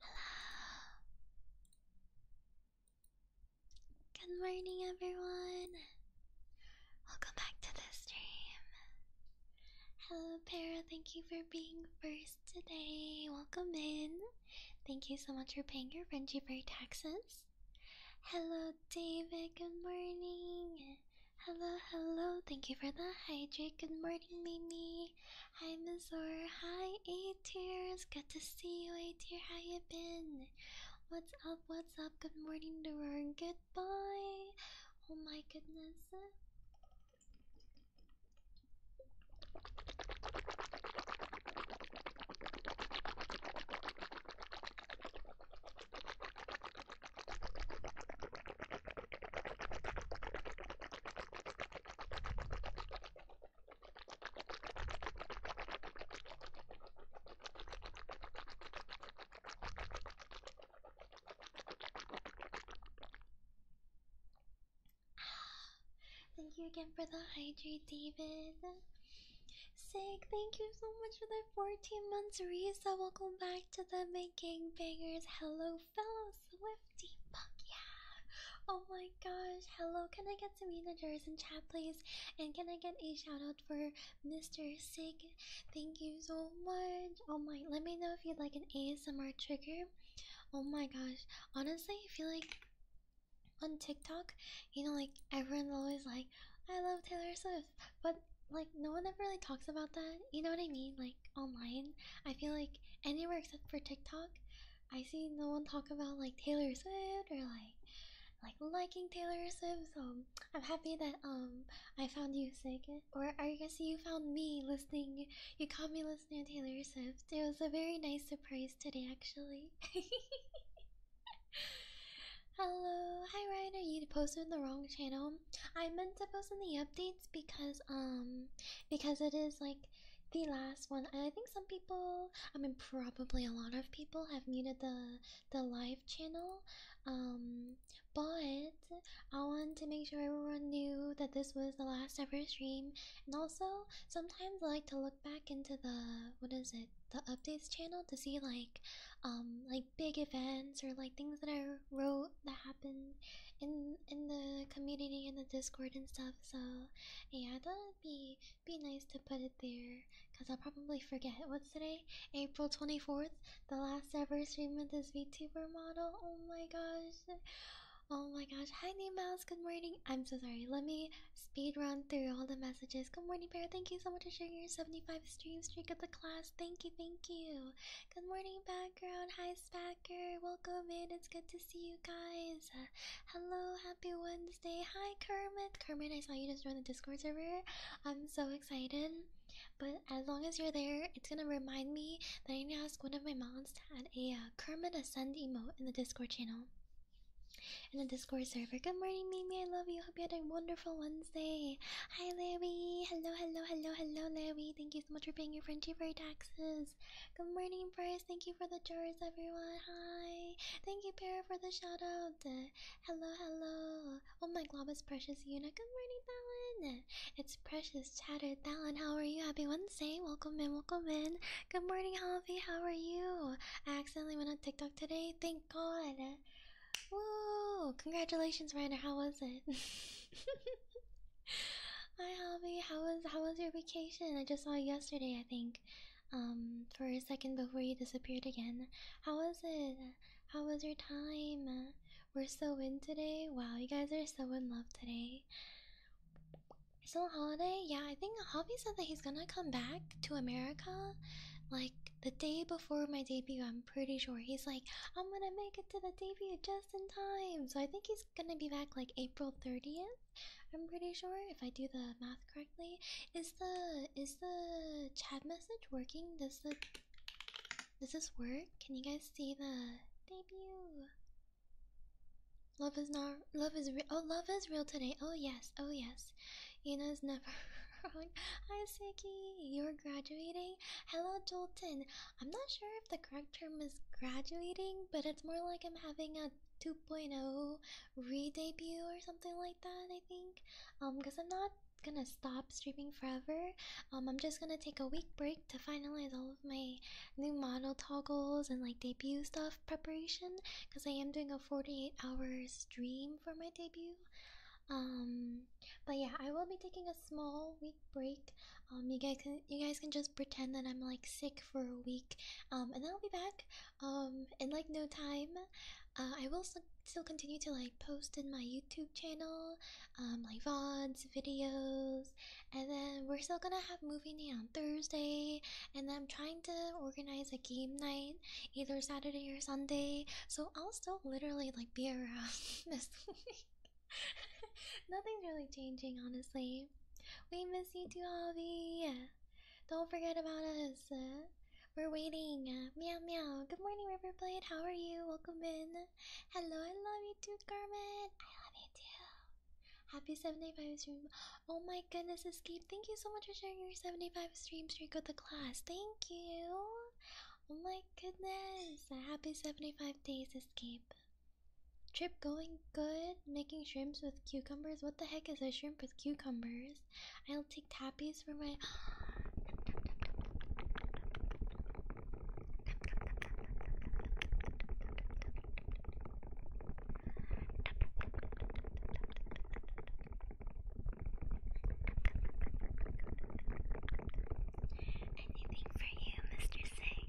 Hello. Good morning, everyone. Welcome back to the stream. Hello, Para. Thank you for being first today. Welcome in. Thank you so much for paying your Frenchie Bear taxes. Hello, David. Good morning. Hello, hello. Thank you for the hydrate. Good morning, Mimi. Hi Mazor, hi A-Tears, good to see you A-Tier, how you been? What's up, what's up, good morning to her, goodbye! Oh my goodness. Ah, thank you again for the hydrate, David. Sick, thank you so much for the 14 months resub. Welcome back to the making bangers. Hello, fellow Swifty, yeah! Oh my gosh, hello, can I get some managers in chat, please? And can I get a shout out for Mr. Sig? Thank you so much. Oh my, let me know if you'd like an ASMR trigger. Oh my gosh, honestly, I feel like on TikTok, you know, like everyone's always like, I love Taylor Swift, but like no one ever really talks about that. You know what I mean? Like online, I feel like anywhere except for TikTok, I see no one talk about like Taylor Swift or like like liking Taylor Swift. So I'm happy that um I found you sick, or I guess you found me listening. You caught me listening Taylor Swift. It was a very nice surprise today, actually. Hello, hi Ryder. You posted the wrong channel. I meant to post in the updates because um because it is like the last one. I think some people, I mean, probably a lot of people have muted the the live channel. Um, but I wanted to make sure everyone knew that this was the last ever stream. And also, sometimes I like to look back into the what is it, the updates channel to see like, um, like big events or like things that I wrote that happened in in the community in the Discord and stuff so yeah, I thought it'd be be nice to put it there because I'll probably forget. What's today? April 24th, the last ever stream of this VTuber model. Oh my gosh. Oh my gosh. Hi New Mouse, good morning. I'm so sorry. Let me speed run through all the messages. Good morning, Bear. Thank you so much for sharing your 75 stream streak of the class. Thank you, thank you. Good morning, background. Hi Spacker, welcome in. It's good to see you guys. Uh, hello, happy Wednesday. Hi, Kermit. Kermit, I saw you just joined the Discord server. I'm so excited. But as long as you're there, it's gonna remind me that I need to ask one of my mods to add a uh, Kermit Ascend emote in the Discord channel. In the Discord server. Good morning, Mimi. I love you. Hope you had a wonderful Wednesday. Hi, Larry. Hello, hello, hello, hello, Larry. Thank you so much for paying your friend for taxes. Good morning, Bryce. Thank you for the jars, everyone. Hi. Thank you, Para, for the shout out. Hello, hello. Oh my Globus Precious Una. Good morning, Talon. It's Precious Chattered Talon. How are you? Happy Wednesday. Welcome in, welcome in. Good morning, Javi. How are you? I accidentally went on TikTok today. Thank God. Whoa! Congratulations, Ryder. How was it? Hi, Javi. How was how was your vacation? I just saw you yesterday, I think. Um, for a second before you disappeared again. How was it? How was your time? We're so in today. Wow, you guys are so in love today. Still on holiday? Yeah, I think Hobby said that he's gonna come back to America like the day before my debut. I'm pretty sure he's like, I'm gonna make it to the debut just in time. So I think he's gonna be back like April 30th. I'm pretty sure if I do the math correctly. Is the is the chat message working? Does the does this work? Can you guys see the debut? Love is not love is real. Oh, love is real today. Oh yes, oh yes. You know it's never wrong. Hi, Siki. You're graduating. Hello, Jolton. I'm not sure if the correct term is graduating, but it's more like I'm having a 2.0 re-debut or something like that, I think. Um, because I'm not gonna stop streaming forever. Um, I'm just gonna take a week break to finalize all of my new model toggles and like debut stuff preparation. Because I am doing a 48 hour stream for my debut. Um, but yeah, I will be taking a small week break. Um, you guys can you guys can just pretend that I'm like sick for a week, um, and then I'll be back um, in like no time. Uh, I will still continue to like post in my YouTube channel, like um, VODs, videos, and then we're still gonna have movie night on Thursday. And then I'm trying to organize a game night either Saturday or Sunday, so I'll still literally like be around this week. Nothing's really changing, honestly. We miss you too, Holly. Don't forget about us. We're waiting. Meow meow. Good morning, Riverblade. How are you? Welcome in. Hello, I love you too, Carmen. I love you too. Happy 75 stream. Oh my goodness, Escape. Thank you so much for sharing your 75 stream streak with the class. Thank you. Oh my goodness. Happy 75 days, Escape. Trip going good. Making shrimps with cucumbers. What the heck is a shrimp with cucumbers? I'll take tappies for my. Anything for you, Mr. Singh.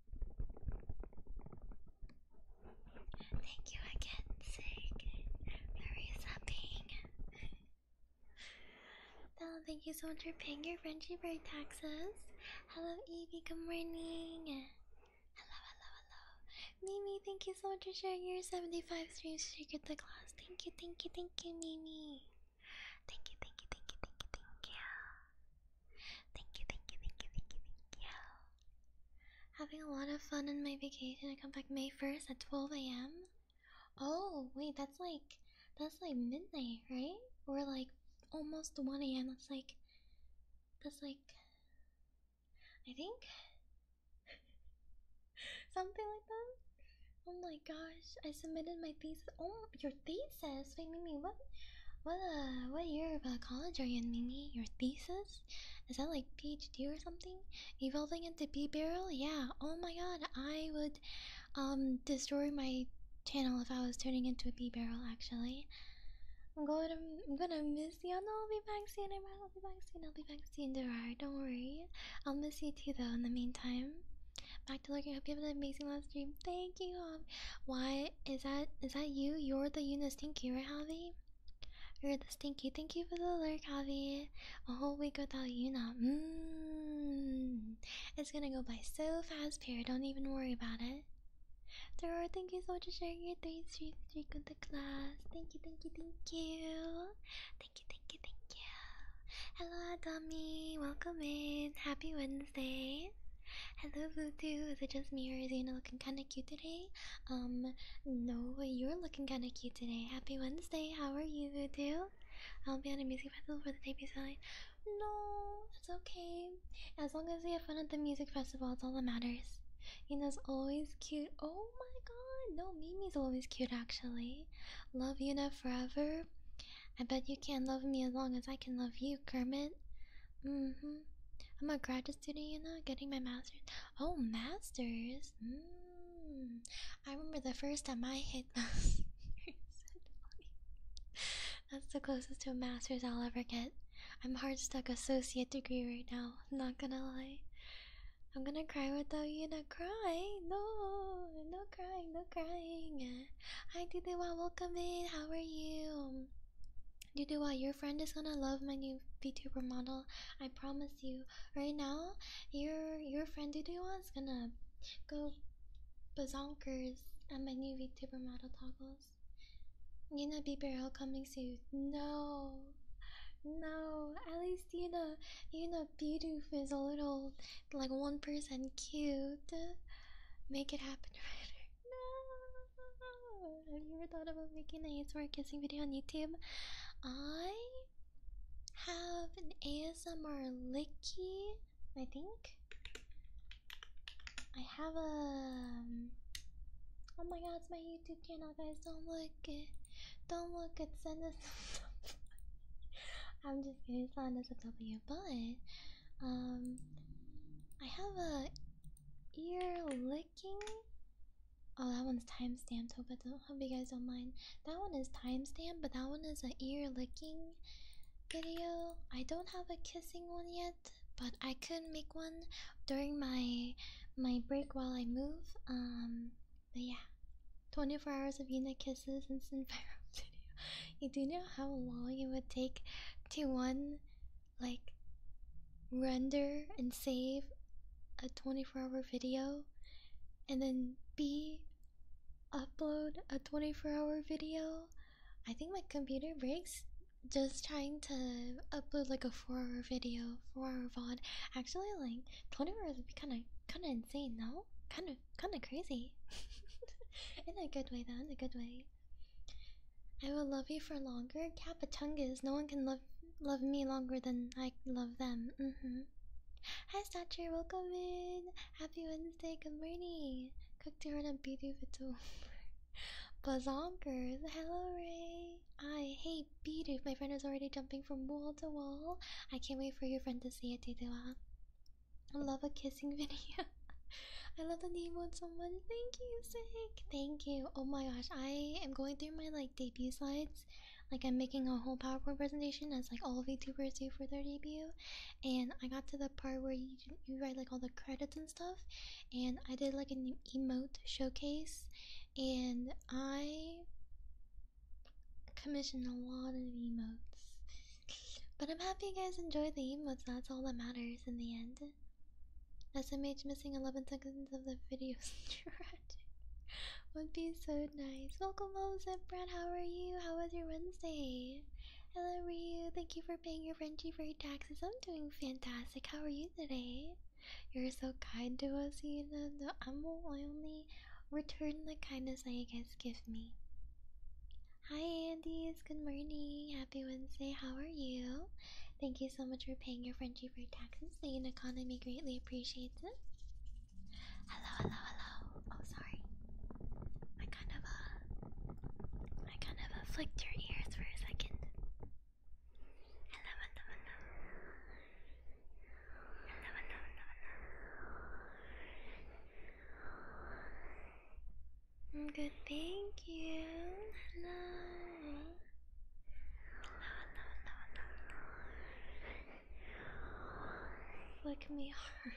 Thank you again, Sig, Marisa Ping. Bella, thank you so much for paying your friendship bird taxes. Hello, Evie, good morning. Hello, hello, hello. Mimi, thank you so much for sharing your 75 streams to get the class. Thank you, thank you, thank you, Mimi. Thank you, thank you, thank you, thank you, thank you. Thank you, thank you, thank you, thank you, thank you. Having a lot of fun in my vacation. I come back May 1st at 12 a.m. Oh, wait, that's like that's like midnight, right? We're like almost 1 a.m. That's like that's like I think something like that. Oh my gosh, I submitted my thesis. Oh, your thesis? says, wait, Mimi, what, what, uh, what year of uh, college are you in, Mimi? Your thesis? Is that like PhD or something? Evolving into B barrel? Yeah. Oh my God, I would, um, destroy my channel if I was turning into a B barrel. Actually, I'm going to, I'm gonna miss you. No, I'll be back soon. I'll be back soon. I'll be back soon, Derar. Don't worry. I'll miss you too, though. In the meantime. Back to looking. Hope you have an amazing last stream. Thank you. Um, why is that is that you? You're the Una Stinky, right, Javi? You're the Stinky. Thank you for the lurk, Javi. A whole week without Una. Mmm. It's gonna go by so fast, Pear. Don't even worry about it. Thor, thank you so much for sharing your three street streak with the class. Thank you, thank you, thank you. Thank you, thank you, thank you. Hello, Tommy. Welcome in. Happy Wednesday. Happy Wednesday. Hello, Voodoo. Is it just me or is Yuna looking kind of cute today? Um, no, you're looking kind of cute today. Happy Wednesday. How are you, Voodoo? I'll be at a music festival for the debut side. No, that's okay. As long as we have fun at the music festival, it's all that matters. Yuna's always cute. Oh my god, no, Mimi's always cute actually. Love Yuna forever. I bet you can't love me as long as I can love you, Kermit. Mm hmm. I'm a graduate student, you know, getting my master's. Oh, master's. Mm. I remember the first time I hit those. That's the closest to a master's I'll ever get. I'm hard stuck associate degree right now. Not gonna lie. I'm gonna cry without you not crying. No, no crying, no crying. I didn't want to come in. How are you? Doo Your friend is gonna love my new VTuber model. I promise you. Right now, your your friend Doo is gonna go bazonkers at my new VTuber model toggles. Nina B barrel coming soon. No, no. At least you know you know Bidoof is a little like one percent cute. Make it happen, right? No! Have you ever thought about making an ASMR kissing video on YouTube? I have an ASMR licky, I think. I have a. Um, oh my god, it's my YouTube channel, guys. Don't look it. Don't look it. Send us some I'm just gonna not as a W, but. Um. I have a ear licking. Oh, that one's timestamped. Hope I don't. Hope you guys don't mind. That one is timestamped, but that one is an ear licking video. I don't have a kissing one yet, but I could make one during my my break while I move. Um, but yeah, 24 hours of unit kisses and viral video. You do know how long it would take to one like render and save a 24 hour video and then B upload a 24 hour video. I think my computer breaks just trying to upload like a 4 hour video, 4 hour VOD. Actually like 24 hours would be kinda kinda insane, though. Kinda kinda crazy. in a good way though, in a good way. I will love you for longer. Capatungas, no one can love love me longer than I love them. Mm-hmm. Hi Statcher, welcome in. Happy Wednesday, good morning. Cooked your on beauty video. Bazonkers, hello Ray. I hey Beedoof, my friend is already jumping from wall to wall. I can't wait for your friend to see it, Tidewa. Uh? I love a kissing video. I love the emote so much. Thank you, Sick. Thank you. Oh my gosh, I am going through my like debut slides. Like I'm making a whole PowerPoint presentation as like all YouTubers do for their debut. And I got to the part where you you write like all the credits and stuff. And I did like an emote showcase. And I commissioned a lot of emotes. But I'm happy you guys enjoyed the emotes. That's all that matters in the end. SMH missing 11 seconds of the video is tragic. Would be so nice. Welcome home, Brad. How are you? How was your Wednesday? Hello, Ryu. Thank you for paying your Frenchie for your taxes. I'm doing fantastic. How are you today? You're so kind to us, you know. No, I'm only return the kindness that you guys give me. Hi, Andy. It's Good morning. Happy Wednesday. How are you? Thank you so much for paying your friendship for taxes. The economy greatly appreciates it. Hello, hello, hello. Oh, sorry. I kind of uh, I kind of uh, your ears for a second. hello, hello. Hello, hello, hello, hello. I'm good, thank you. Hello. Hello, hello, hello, hello. Look me hard.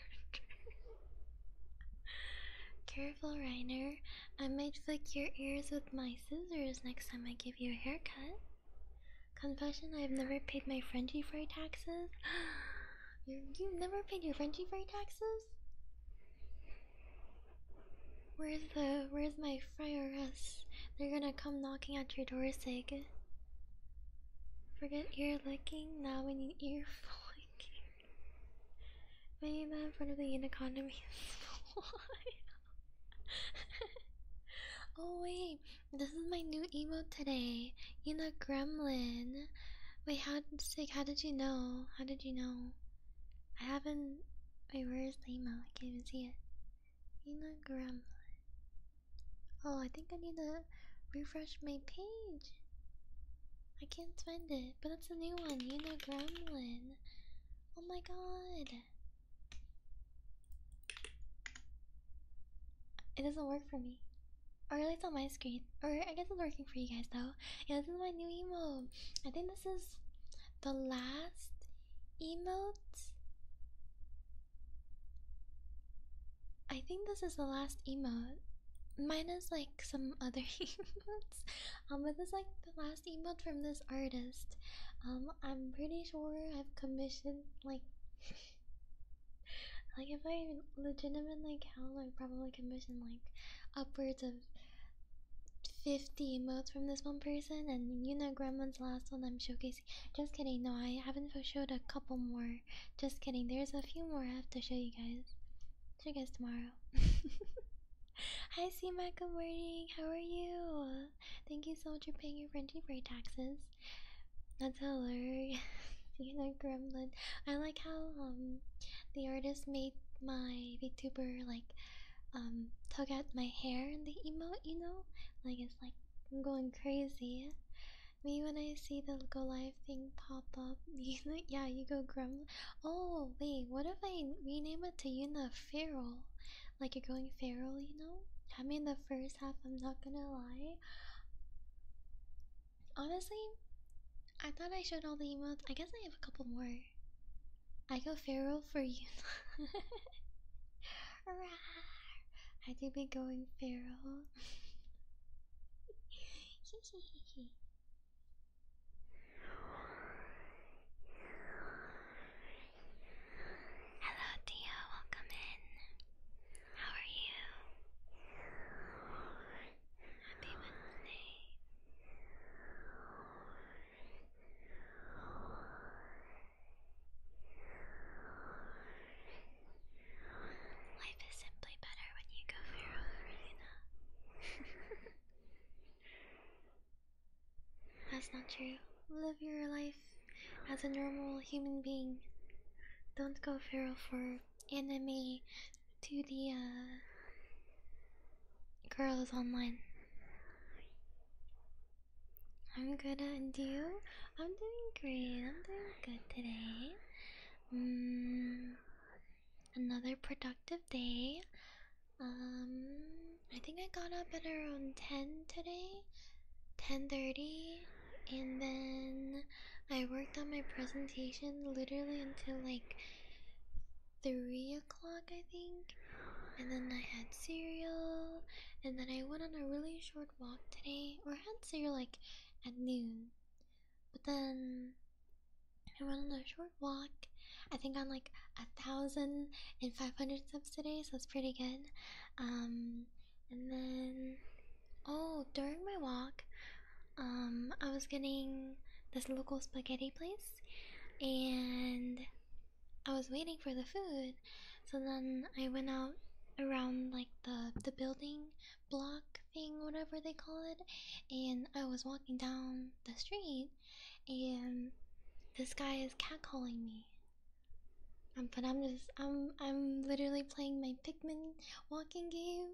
Careful, Reiner. I might flick your ears with my scissors next time I give you a haircut. Confession, I've never paid my Frenchie fry taxes. you, you've never paid your Frenchie fry taxes? Where's the where's my friars? They're gonna come knocking at your door, Sig. Forget ear licking, now we need ear flicking. Maybe that in front of the unicorn means Oh wait, this is my new emote today. You know gremlin. Wait, how Sig, how did you know? How did you know? I haven't Wait, where is the email? I can't even see it. Ina Gremlin. Oh, I think I need to refresh my page. I can't find it, but it's a new one. Ina Gremlin. Oh my god. It doesn't work for me. Or at least on my screen. Or I guess it's working for you guys though. Yeah, this is my new email. I think this is the last emote? I think this is the last emote. Mine is like some other emotes. Um, but this is like the last emote from this artist. Um, I'm pretty sure I've commissioned like like if I legitimately count, I probably commissioned like upwards of 50 emotes from this one person, and you know Gremlin's last one I'm showcasing. Just kidding, no, I haven't showed a couple more. Just kidding, there's a few more I have to show you guys. Show you guys tomorrow. Hi, CMAC, good morning. How are you? Thank you so much for paying your friendship rate taxes. That's hilarious. you know, Gremlin. I like how um the artist made my VTuber like um tug at my hair in the emote, you know? Like it's like I'm going crazy. Me when I see the go live thing pop up, yeah, you go grum. Oh wait, what if I rename it to Yuna Feral? Like you're going feral, you know? I mean the first half, I'm not gonna lie. Honestly, I thought I showed all the emotes. I guess I have a couple more. I go feral for you. I do be going feral. Hello, Dio. Welcome in. How are you? Happy Wednesday. Life is simply better when you go feral, Rowena. That's not true. Live your life as a normal human being. Don't go feral for anime to the uh, girls online. I'm good to do. I'm doing great. I'm doing good today. Mm, another productive day. Um, I think I got up at around 10 today, 10.30, and then I worked on my presentation literally until like three o'clock, I think. And then I had cereal. And then I went on a really short walk today, or had cereal like at noon. But then I went on a short walk. I think on like a thousand and five hundred steps today, so it's pretty good. Um, and then oh, during my walk, um, I was getting this local spaghetti place, and I was waiting for the food. So then I went out around like the the building block thing, whatever they call it, and I was walking down the street and this guy is catcalling me. Um, but I'm just I'm I'm literally playing my Pikmin walking game.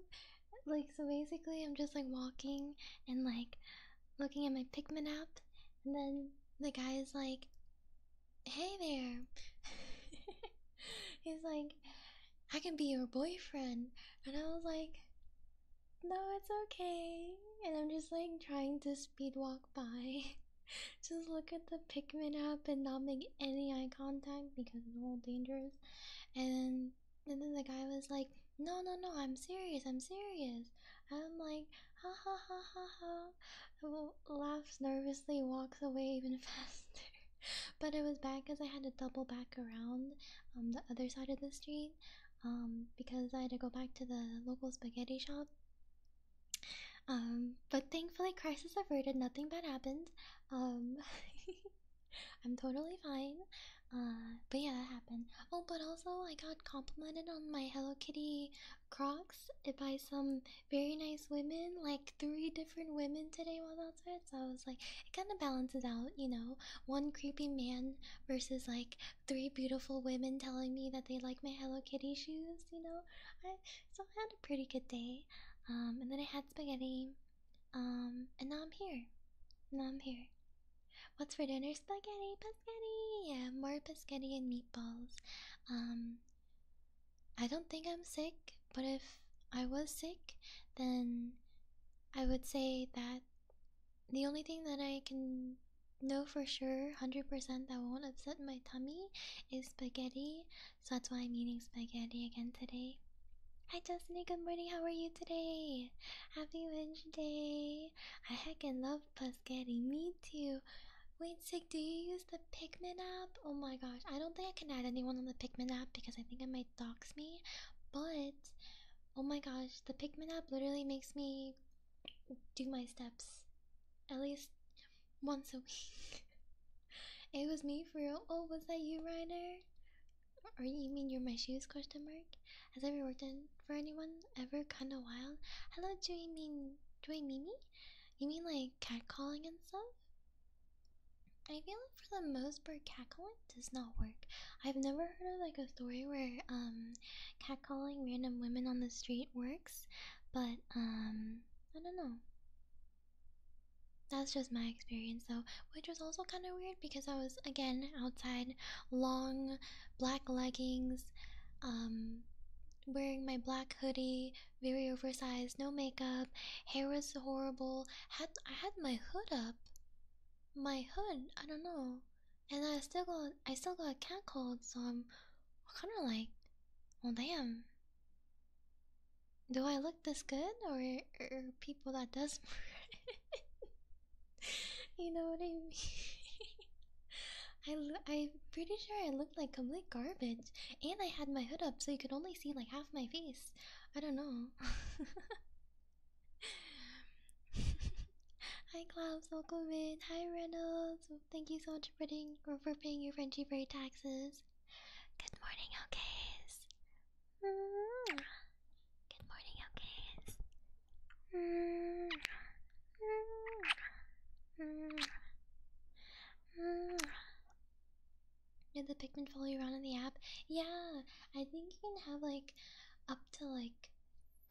Like so basically I'm just like walking and like looking at my Pikmin app, and then the guy is like, "Hey there." He's like, "I can be your boyfriend," and I was like, "No, it's okay." And I'm just like trying to speed walk by. Just look at the Pikmin app and not make any eye contact because it's all dangerous. And then, and then the guy was like, no, no, no, I'm serious, I'm serious. I'm like, ha ha ha ha ha. Well, laughs nervously, walks away even faster. but it was bad because I had to double back around um, the other side of the street um, because I had to go back to the local spaghetti shop. Um, but thankfully, crisis averted, nothing bad happened. Um, I'm totally fine. Uh, but yeah, that happened. Oh, but also I got complimented on my Hello Kitty Crocs by some very nice women, like three different women today while outside. So I was like, it kind of balances out, you know, one creepy man versus like three beautiful women telling me that they like my Hello Kitty shoes, you know. so I had a pretty good day. Um, and then I had spaghetti. Um, and now I'm here. Now I'm here. What's for dinner? Spaghetti, biscotti. Yeah, more spaghetti and meatballs. Um, I don't think I'm sick, but if I was sick, then I would say that the only thing that I can know for sure, 100% that won't upset my tummy is spaghetti. So that's why I'm eating spaghetti again today. Hi Justin, good morning, how are you today? Happy Wednesday! I heckin' love Plus, Paschetti. Me too. Wait, sick. Do you use the Pikmin app? Oh my gosh, I don't think I can add anyone on the Pikmin app because I think it might dox me. But oh my gosh, the Pikmin app literally makes me do my steps at least once a week. it was me for real. Oh, was that you, Ryder? Or you mean you're my shoes? Question mark. Has ever worked in, for anyone ever kind of wild? Hello, do you mean do I Mimi? You mean like catcalling and stuff? I feel like for the most part, catcalling does not work. I've never heard of like a story where um catcalling random women on the street works, but um I don't know. That's just my experience though, which was also kind of weird because I was again outside, long black leggings, um, wearing my black hoodie, very oversized, no makeup, hair was horrible. Had I had my hood up, my hood, I don't know, and I still got I still got a cat cold, so I'm kind of like, well, damn. Do I look this good, or are people that does you know what I mean? I I'm pretty sure I looked like complete garbage, and I had my hood up, so you could only see like half my face. I don't know. Hi, Klaus, welcome in. Hi, Reynolds. Thank you so much for paying, for paying your friendship rate taxes. Good morning, okays. Mm-hmm. Good morning, okays. Did the Pikmin follow you around in the app? Yeah, I think you can have like up to like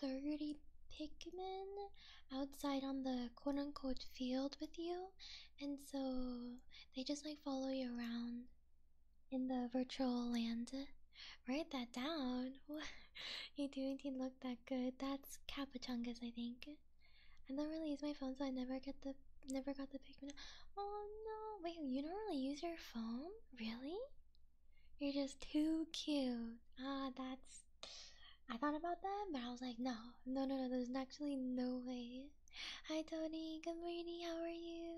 30 Pikmin outside on the quote unquote field with you, and so they just like follow you around in the virtual land. Write that down. you do indeed look that good. That's Capuchungus, I think. I don't really use my phone, so I never get the never got the picture. Oh no! Wait, you don't really use your phone, really? You're just too cute. Ah, that's. I thought about that, but I was like, no, no, no, no. There's actually no way. Hi, Tony. Good morning. How are you?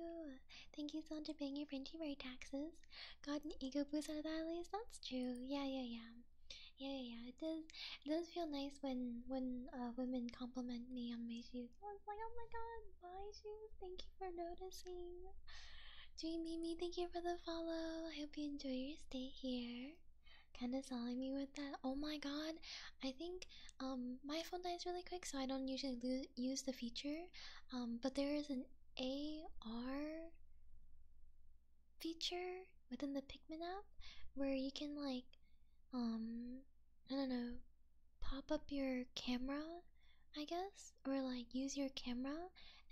Thank you so much for paying your Frenchy Berry taxes has gotten ego boost out of that at least. That's true. Yeah, yeah, yeah. Yeah, yeah, It does. It does feel nice when when uh, women compliment me on my shoes. I was like, oh my god, my shoes. Thank you for noticing. Dream Mimi, thank you for the follow. I hope you enjoy your stay here. Kinda selling me with that. Oh my god, I think um my phone dies really quick, so I don't usually use the feature. Um, but there is an AR feature within the Pikmin app where you can like um I don't know pop up your camera I guess or like use your camera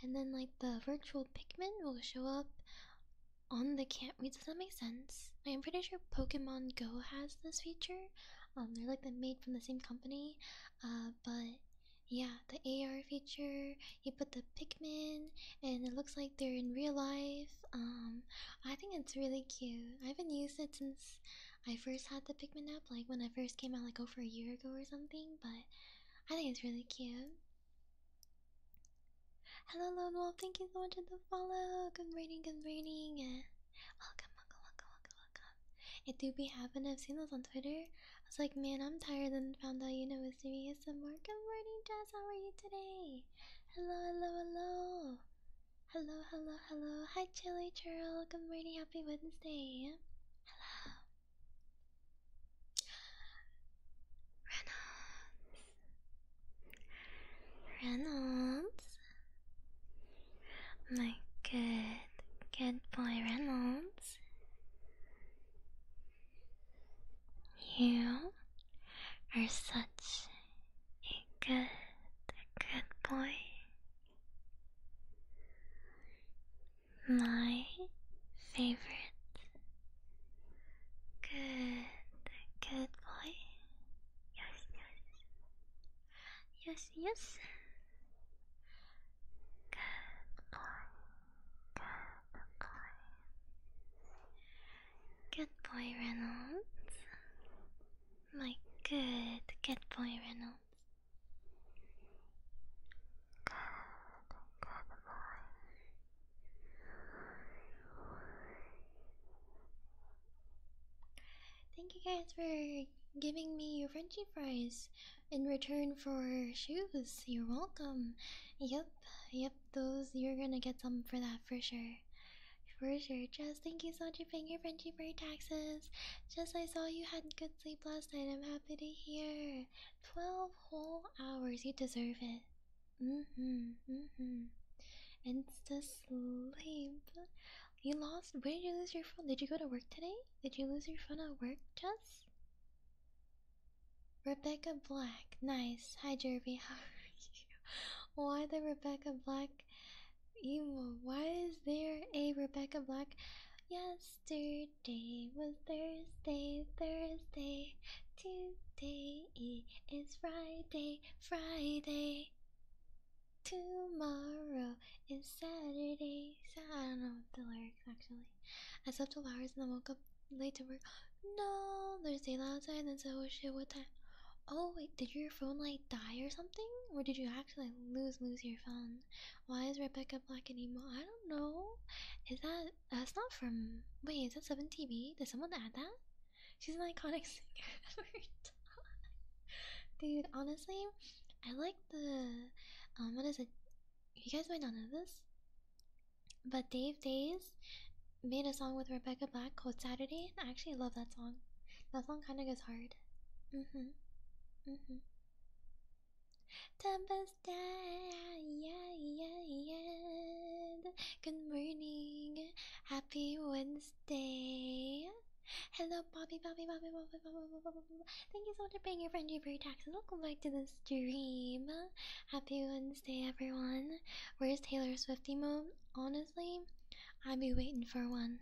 and then like the virtual Pikmin will show up on the cam wait does that make sense? I'm pretty sure Pokemon Go has this feature. Um they're like they're made from the same company. Uh but yeah, the AR feature. You put the Pikmin, and it looks like they're in real life. Um, I think it's really cute. I haven't used it since I first had the Pikmin app, like when I first came out, like over a year ago or something. But I think it's really cute. Hello, Lone Wolf. Thank you so much for the follow. Good rating, good rating. Welcome, welcome, welcome, welcome, welcome. It do be happening. I've seen those on Twitter. I was like, man, I'm tired and found out you know it's me some more. Good morning, Jazz, how are you today? Hello, hello, hello. Hello, hello, hello. Hi Chili Churl. Good morning, happy Wednesday. Hello. Reynolds. Reynolds. My good, good boy Reynolds. You are such a good, good boy. My favorite. Good, good boy. Yes, yes. Yes, yes. Good boy, Reynolds. My good, good boy, Reynolds. Good, good boy. Thank you guys for giving me your Frenchie fries in return for shoes. You're welcome. Yep, yep, those you're gonna get some for that for sure. For sure. Jess, thank you so much for paying your friendship for your taxes. Jess, I saw you had good sleep last night. I'm happy to hear. Twelve whole hours. You deserve it. Mm-hmm. Mm-hmm. the sleep. You lost where did you lose your phone? Did you go to work today? Did you lose your phone at work, Jess? Rebecca Black, nice. Hi Jervy, how are you? Why the Rebecca Black emo? Why is there a Rebecca Black? Yesterday was Thursday, Thursday. Today is Friday, Friday. Tomorrow is Saturday. So I don't know the lyrics actually. I slept 12 hours and then woke up late to work. No, there's daylight outside and then said, oh shit, what time? Oh wait, did your phone like die or something? Or did you actually lose lose your phone? Why is Rebecca black and emo? I don't know. Is that that's not from wait, is that 7TV? Did someone add that? She's an iconic singer Dude, honestly, I like the um what is it? You guys might not know this. But Dave Days made a song with Rebecca Black called Saturday. I actually love that song. That song kind of goes hard. Mm hmm. Mm hmm. Good morning. Happy Wednesday. Hello, Bobby, Bobby, Bobby, Bobby, Bobby, Bobby, Bobby, Bobby. Thank you so much for paying your friend you for your taxes. Welcome back to the Dream. Happy Wednesday, everyone. Where's Taylor Swift emo? Honestly, I'd be waiting for one.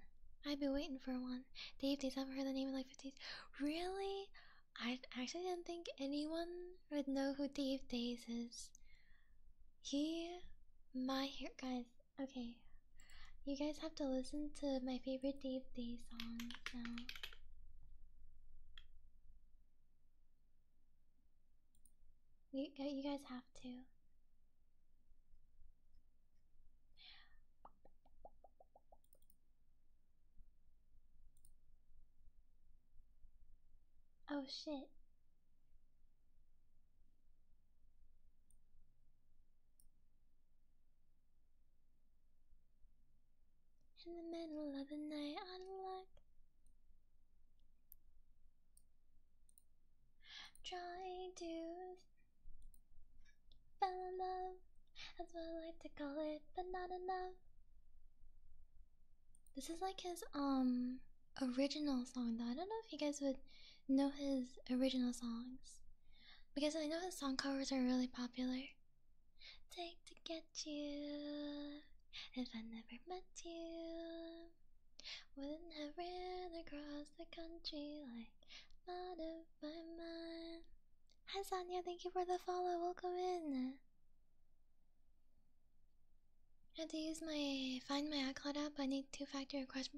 I'd be waiting for one. Dave, Dave, I've heard the name in like 50s. Really? I actually didn't think anyone would know who Dave Days is. He, my hair, guys. Okay, you guys have to listen to my favorite Dave Days song now. You, you guys have to. Oh shit. In the middle of the night, I like Try to fell in love, that's what I like to call it, but not enough. This is like his um original song though. I don't know if you guys would know his original songs. Because I know his song covers are really popular take to get you. If I never met you, wouldn't have ran across the country like out of my mind. Hi Sonia, thank you for the follow. Welcome in. I have to use my find my iCloud app. I need two-factor request.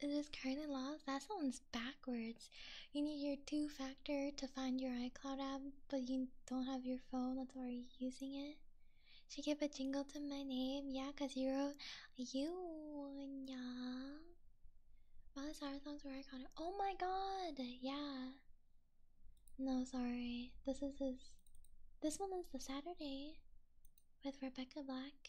It is currently lost. That sounds backwards. You need your two factor to find your iCloud app, but you don't have your phone, that's why you're using it. Should give a jingle to my name, yeah, cause you're you yeah. Miley Cyrus songs were iconic. Oh my god, yeah. No, sorry. This is his this one is the Saturday with Rebecca Black.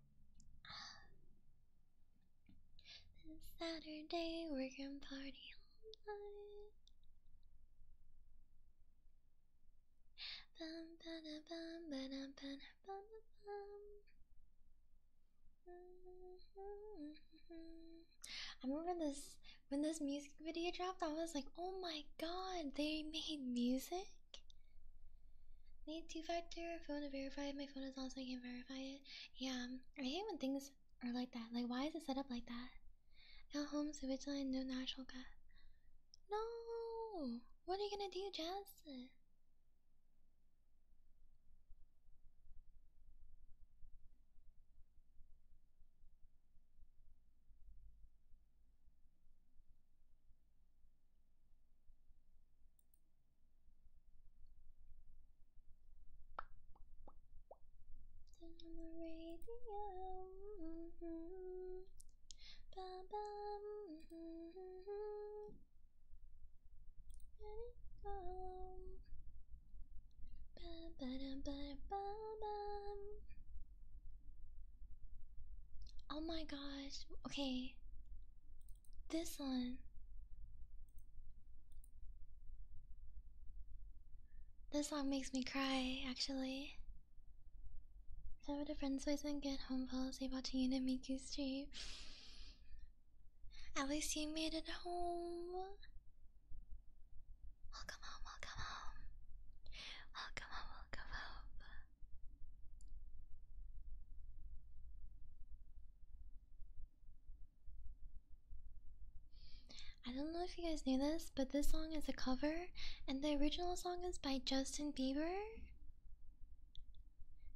This Saturday we're gonna party all night. I remember this when this music video dropped. I was like, "Oh my god, they made music!" Need two-factor phone to verify my phone is on, so I can verify it. Yeah, I hate when things are like that. Like, why is it set up like that? At home switch line, no natural gas. No, what are you gonna do, Jazz? on the radio. ba -ba. Let it go. Ba -ba -da -ba -ba -ba. Oh my gosh. Okay. This one. This song makes me cry, actually. So with a friend's voice and get home policy watching it in Miku Street. At least you made it home. Welcome home, welcome home. Welcome home, welcome home. I don't know if you guys knew this, but this song is a cover, and the original song is by Justin Bieber.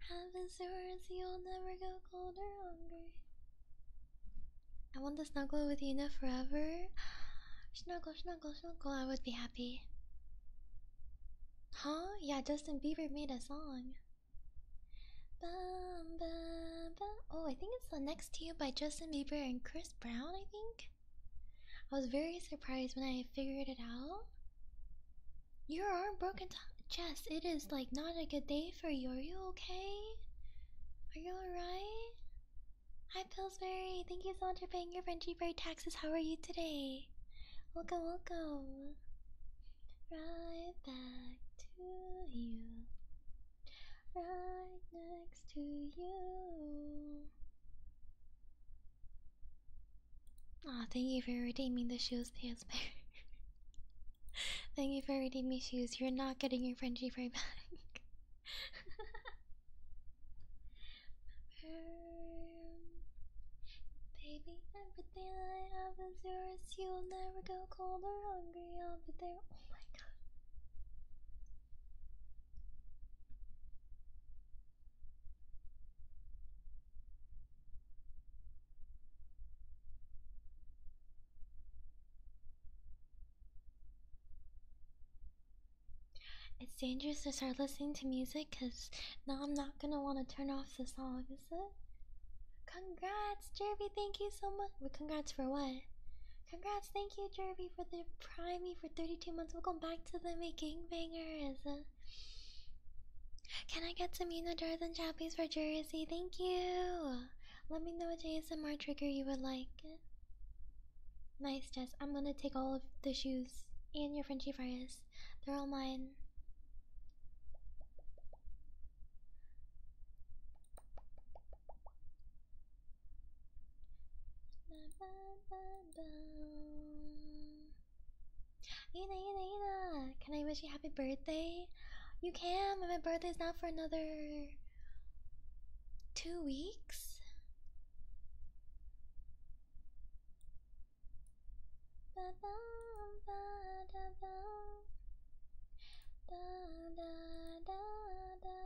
Have this words, you'll never go cold or hungry. I want to snuggle with Una forever. Snuggle, snuggle, snuggle, I would be happy. Huh? Yeah, Justin Bieber made a song. Oh, I think it's the next to you by Justin Bieber and Chris Brown, I think. I was very surprised when I figured it out. Your arm broke into Jess, it is like not a good day for you. Are you okay? Are you alright? Hi Pillsbury, thank you so much for paying your Frenchie Bear taxes. How are you today? welcome, welcome. Right back to you. Right next to you. Aw, oh, thank you for redeeming the shoes, Tansper. thank you for redeeming shoes. You're not getting your Frenchie fry back. Baby, everything I have is yours. You'll never go cold or hungry. I'll be there. Oh my god. It's dangerous to start listening to music because now I'm not gonna want to turn off the song. Congrats, Jervy. Thank you so much. Wait, congrats for what? Congrats. Thank you, Jervy, for the primey for 32 months. Welcome back to the making bangers. Can I get some Uno jars and chappies for Jersey? Thank you. Let me know what ASMR trigger you would like. Nice, Jess. I'm gonna take all of the shoes and your Frenchy fries. They're all mine. Ina, Ina, Ina, can I wish you happy birthday? You can, my birthday is not for another two weeks. Ba ba ba da ba da da da da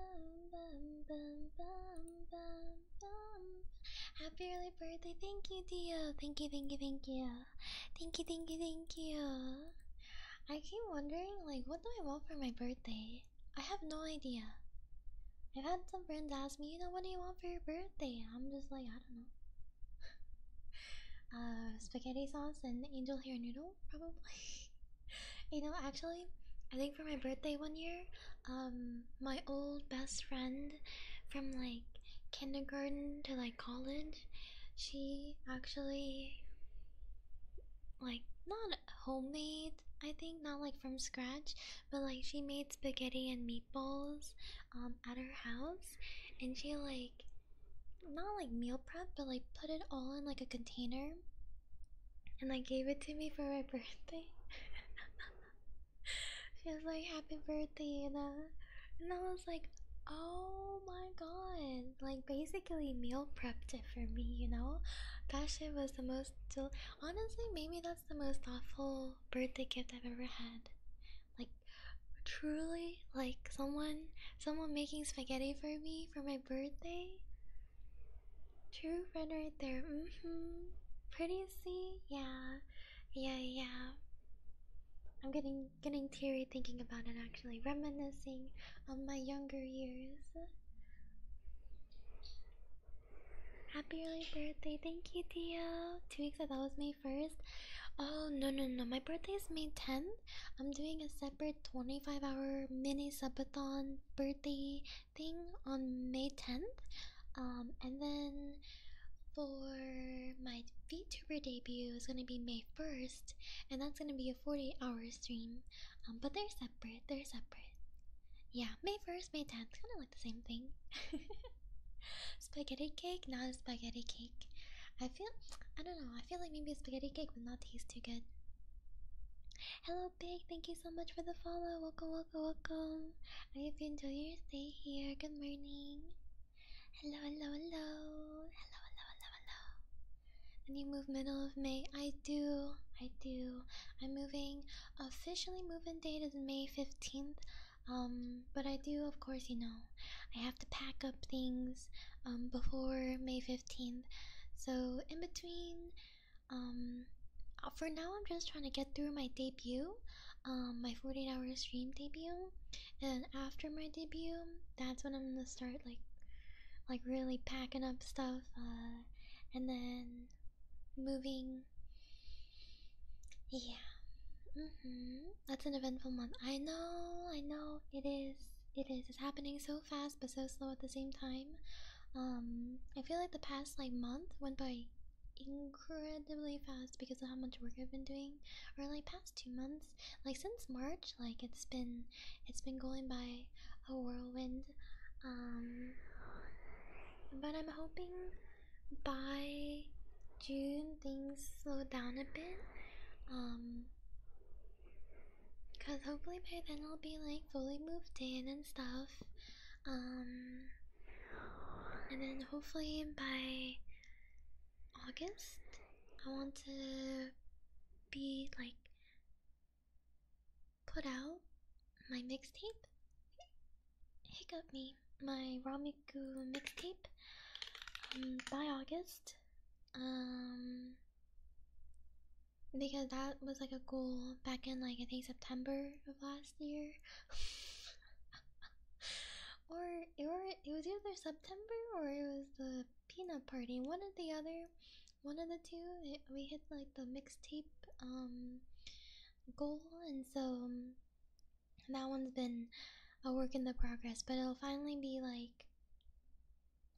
bum bum bum bum bum. Happy early birthday! Thank you, Dio. Thank you, thank you, thank you, thank you, thank you, thank you. I keep wondering, like, what do I want for my birthday? I have no idea. I've had some friends ask me, you know, what do you want for your birthday? I'm just like, I don't know. uh, spaghetti sauce and angel hair noodle, probably. you know, actually, I think for my birthday one year, um, my old best friend from like kindergarten to like college, she actually like not homemade. I think not like from scratch, but like she made spaghetti and meatballs um at her house and she like not like meal prep but like put it all in like a container and like gave it to me for my birthday she was like happy birthday and uh and I was like oh my god like basically meal prepped it for me you know that shit was the most honestly maybe that's the most thoughtful birthday gift I've ever had like truly like someone someone making spaghetti for me for my birthday true friend right there mm-hmm pretty see yeah yeah yeah i'm getting getting teary thinking about it actually reminiscing on my younger years Happy early birthday, thank you, Theo. Two weeks ago, that was me. First, Oh, no, no, no. My birthday is May 10th. I'm doing a separate 25 hour mini subathon birthday thing on May 10th. Um, and then for my VTuber debut is gonna be May 1st, and that's gonna be a 48 hour stream. Um, but they're separate, they're separate. Yeah, May 1st, May 10th, kind of like the same thing. spaghetti cake, not a spaghetti cake. I feel, I don't know, I feel like maybe a spaghetti cake would not taste too good. Hello, Big. Thank you so much for the follow. Welcome, welcome, welcome. I hope you enjoy your stay here. Good morning. Hello, hello, hello. Hello, hello, hello, hello. And you move middle of May. I do. I do. I'm moving. Officially, moving date is May 15th. Um, but I do, of course, you know, I have to pack up things um, before May 15th. So, in between, um, uh, for now, I'm just trying to get through my debut, um, my 48 hour stream debut. And after my debut, that's when I'm gonna start, like, like really packing up stuff uh, and then moving yeah mm-hmm that's an eventful month. I know, I know. It is. It is. It's happening so fast but so slow at the same time. Um, I feel like the past like month went by incredibly fast because of how much work I've been doing. Or like past two months. Like since March, like it's been it's been going by a whirlwind. Um but I'm hoping by June things slow down a bit. Um, cause hopefully by then I'll be like fully moved in and stuff. Um, and then hopefully by August, I want to be like put out my mixtape. Hiccup me, my raw mixtape um, by August. Um, because that was like a goal back in like I think September of last year. or it or it was either September or it was the peanut party. One of the other one of the two we hit like the mixtape um goal and so um, that one's been a work in the progress, but it'll finally be like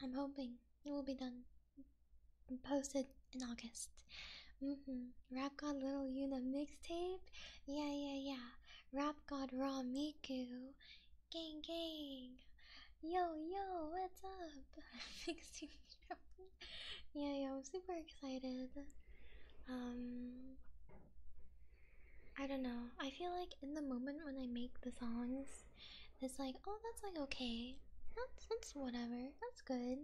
I'm hoping it will be done posted in August. Mm-hmm. Rap God Little Yuna mixtape? Yeah, yeah, yeah. Rap God Raw Miku. Gang gang. Yo, yo, what's up? yeah, yeah, I'm super excited. Um I don't know. I feel like in the moment when I make the songs, it's like, oh, that's like okay. That's that's whatever. That's good.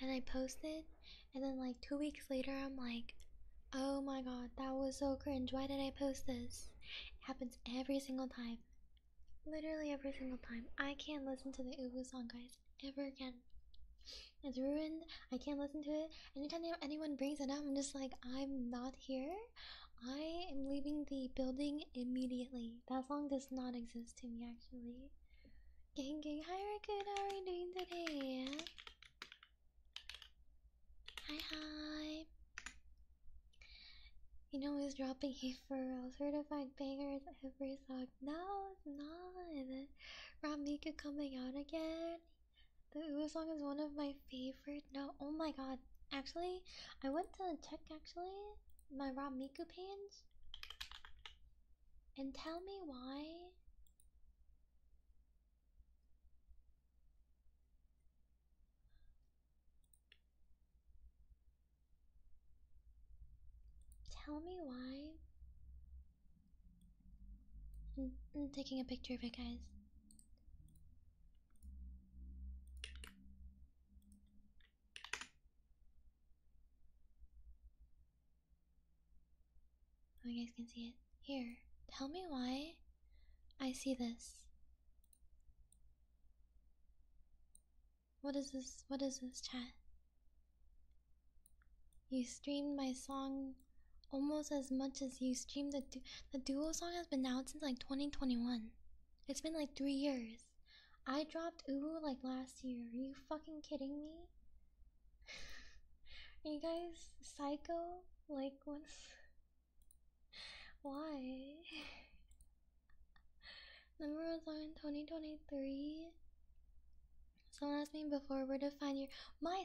And I post it, and then like two weeks later, I'm like, oh my god, that was so cringe. Why did I post this? It happens every single time. Literally every single time. I can't listen to the Ubu song, guys, ever again. It's ruined I can't listen to it. Anytime anyone brings it up, I'm just like, I'm not here. I am leaving the building immediately. That song does not exist to me, actually. Gang gang, hi Raccoon, how are you doing today? Hi hi. You know he's dropping a furrow certified bangers every song. No, it's not. Rob coming out again. The Ooh song is one of my favorite. No, oh my god. Actually, I went to check actually my raw Miku page and tell me why tell me why I'm taking a picture of it, guys. Oh, you guys can see it. Here, tell me why I see this. What is this? What is this, chat? You streamed my song almost as much as you stream the the duo song has been out since like 2021. It's been like three years. I dropped Ubu like last year. Are you fucking kidding me? Are you guys psycho? Like what's why? Number one song in 2023. Someone asked me before where to find your my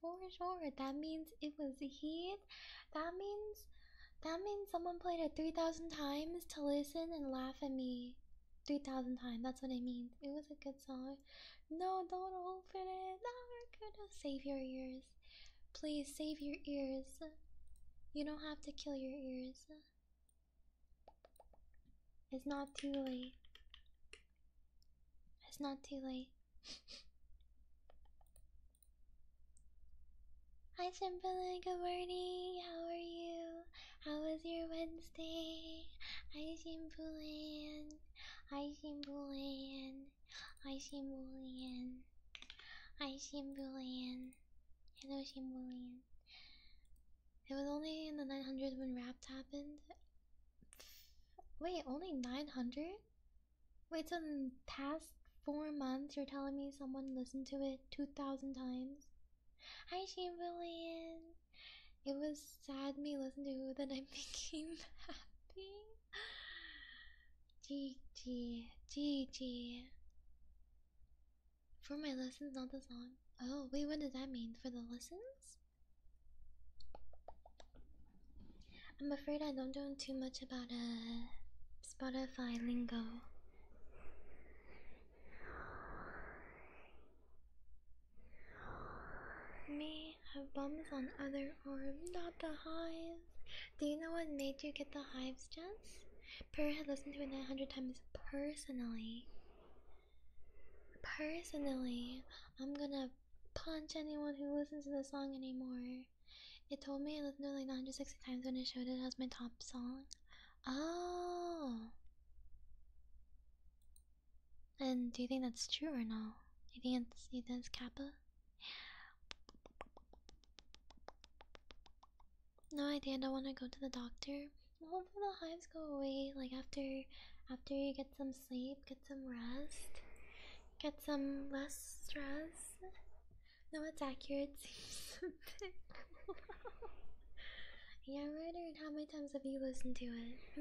for sure. That means it was heat. That means that means someone played it 3,000 times to listen and laugh at me 3,000 times. That's what I mean. It was a good song. No, don't open it. That we save your ears. Please save your ears. You don't have to kill your ears. It's not too late. It's not too late. Hi Simple, good morning. How are you? How was your Wednesday? I Simpulan. Hi Simpulan. Hi Simpulan. Hi Simpulan. Hello Simpulan. It was only in the 900 when rap happened. Wait, only 900? Wait, so the past four months, you're telling me someone listened to it 2,000 times? Hi, Chamberlain! It was sad me listen to that I became happy. GG, GG. For my lessons, not the song. Oh, wait, what does that mean? For the lessons? I'm afraid I don't know too much about a uh, Spotify lingo. Me have bums on other arms, not the hives. Do you know what made you get the hives, Jess? Per had listened to it 900 times personally. Personally, I'm gonna punch anyone who listens to the song anymore. It told me it was to like 960 times when it showed it as my top song. Oh. And do you think that's true or no? You think you think it's Kappa? No idea. I don't want to go to the doctor. Hopefully the hives go away. Like after, after you get get some sleep, get some rest, get some less stress. No, it's accurate. yeah, right. Or how many times have you listened to it?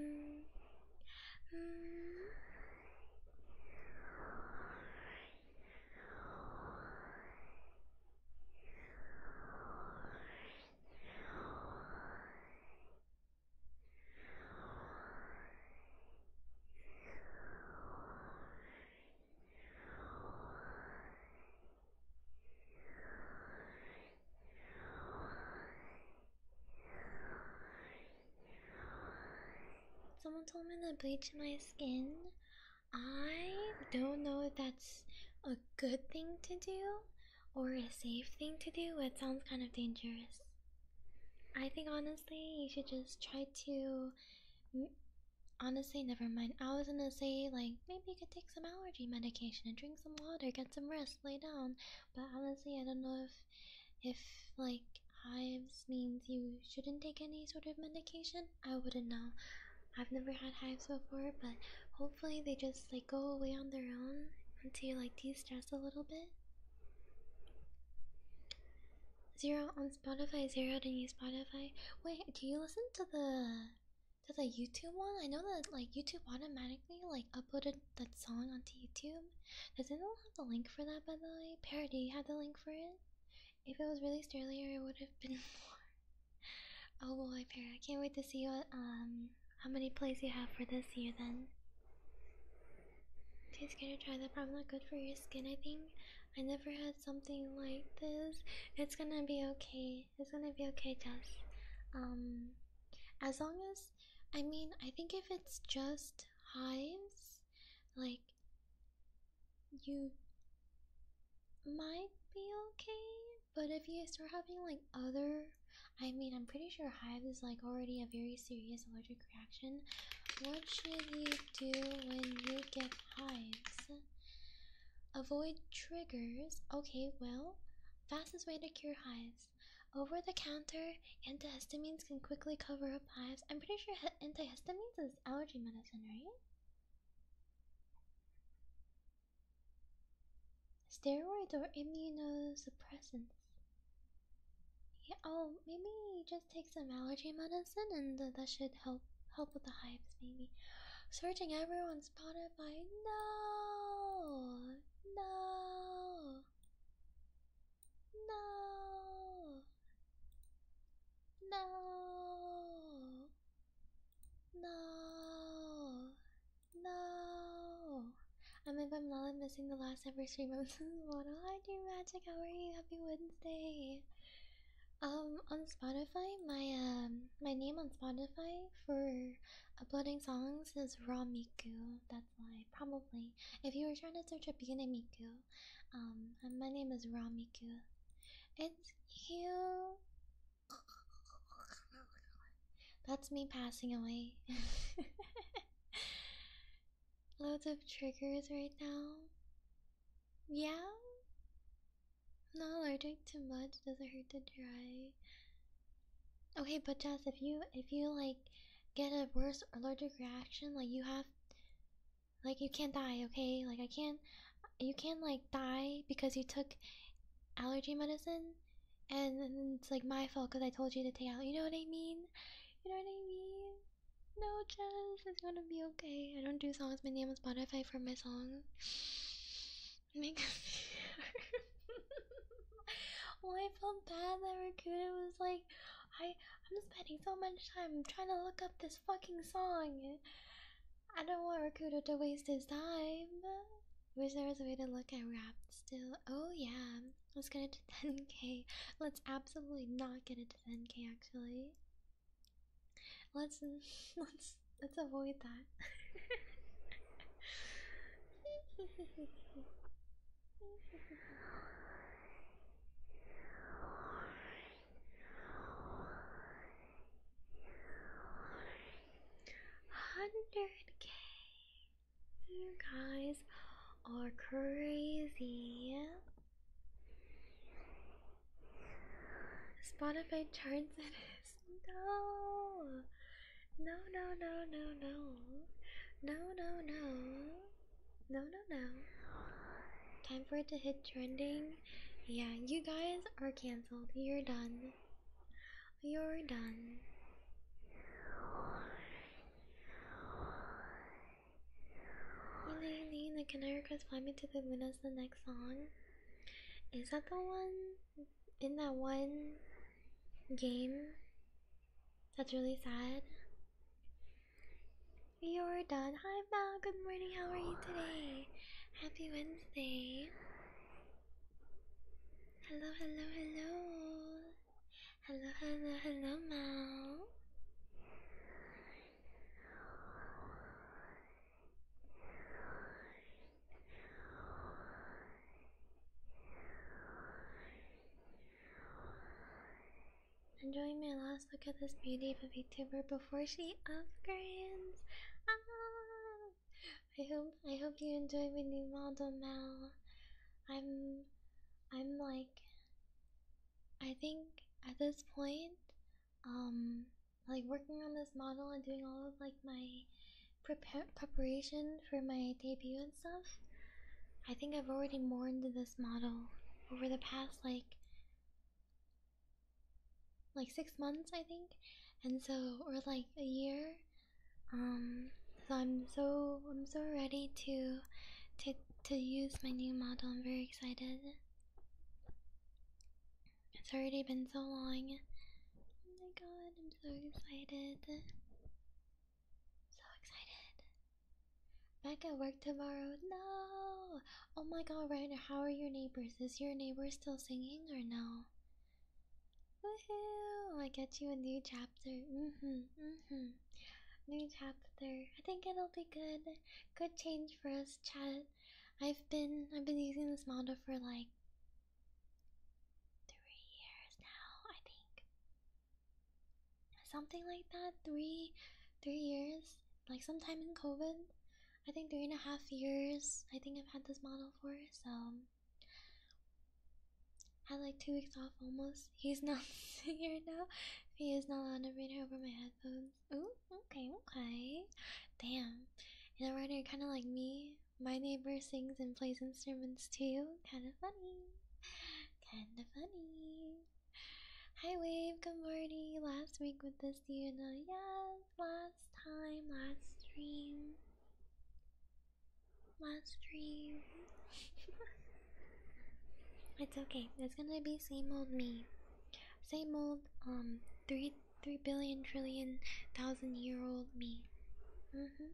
Someone told me to bleach my skin. I don't know if that's a good thing to do or a safe thing to do. It sounds kind of dangerous. I think honestly, you should just try to. Honestly, never mind. I was gonna say, like, maybe you could take some allergy medication and drink some water, get some rest, lay down. But honestly, I don't know if, if like, hives means you shouldn't take any sort of medication. I wouldn't know. I've never had hives before, but hopefully they just, like, go away on their own until you, like, de stress a little bit. Zero on Spotify, zero did didn't use Spotify. Wait, do you listen to the to the YouTube one? I know that like YouTube automatically like uploaded that song onto YouTube. Does anyone have the link for that by the way? Parody had the link for it. If it was released earlier it would have been Oh boy, Para, I can't wait to see what um how many plays you have for this year then. Just gonna try that probably not good for your skin, I think. I never had something like this. It's gonna be okay. It's gonna be okay, Jess. Um as long as I mean I think if it's just hives, like you might be okay, but if you start having like other I mean I'm pretty sure hives is like already a very serious allergic reaction. What should you do when you get hives? Avoid triggers. Okay, well, fastest way to cure hives. Over the counter, antihistamines can quickly cover up hives. I'm pretty sure antihistamines is allergy medicine, right? Steroids or immunosuppressants. Yeah, oh, maybe just take some allergy medicine and uh, that should help help with the hives, maybe. Searching everyone Spotify. No, no, no, no, no, no. I'm in my am not missing the last ever stream. I'm this what I do magic. How are you? Happy Wednesday. Um, on Spotify, my um, my name on Spotify for uploading songs is Raw Miku. That's why probably if you were trying to search up Beginning Miku, um, my name is Raw Miku. It's you. That's me passing away. loads of triggers right now. Yeah? I'm not allergic to much, doesn't hurt to try. Okay, but Jess, if you if you like get a worse allergic reaction, like you have like you can't die, okay? Like I can't you can't like die because you took allergy medicine and it's like my fault because I told you to take out you know what I mean? You know what I mean? No, Jess, it's gonna be okay. I don't do songs. My name on Spotify for my songs. Make Well, oh, I felt bad that Rakuda was like, I, I'm spending so much time trying to look up this fucking song. I don't want Rakuda to waste his time. Wish there was a way to look at rap still. Oh yeah. Let's get it to 10k. Let's absolutely not get it to 10k actually. Let's let's let's avoid that. Hundred K you guys are crazy. Spotify charts it is no, no, no, no, no, no, no, no, no, no, no, no. Time for it to hit trending. Yeah, you guys are cancelled. You're done. You're done. Lately, the Canary Cross Fly Me to the Moon is the next song. Is that the one in that one game that's really sad? You're done. Hi, Val. Good morning. How are you today? Happy Wednesday. Hello, hello, hello. Hello, hello, hello, Mal. Enjoying my last look at this beauty of a VTuber before she upgrades. Ah! I hope I hope you enjoy my new model, Mal. I'm I'm like I think at this point, um, like working on this model and doing all of like my prepar preparation for my debut and stuff, I think I've already mourned this model over the past like like six months I think, and so or like a year. Um, so I'm so I'm so ready to to to use my new model. I'm very excited. It's already been so long. Oh my god, I'm so excited. So excited. Back at work tomorrow. No! Oh my god, Ryder, how are your neighbors? Is your neighbor still singing or no? Woohoo! I get you a new chapter. hmm hmm New chapter. I think it'll be good. Good change for us, chat. I've been I've been using this model for like three years now, I think. Something like that. Three three years. Like sometime in COVID. I think three and a half years I think I've had this model for, so had like two weeks off almost. He's not here now. He is not allowed to bring her over my headphones. Ooh, okay, okay. Damn. You know, right here, kind of like me. My neighbor sings and plays instruments too. Kind of funny. Kind of funny. Hi, Wave. Good morning. Last week with this, you know, yes. Last time, last stream. Last stream. It's okay. It's gonna be same old me. Same old um three three billion trillion thousand year old me. Mm-hmm.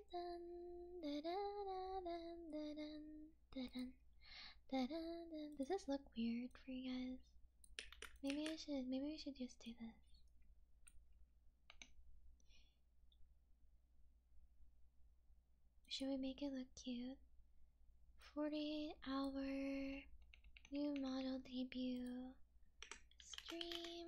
Does this look weird for you guys? Maybe I should maybe we should just do this. Should we make it look cute? 48 hour new model debut stream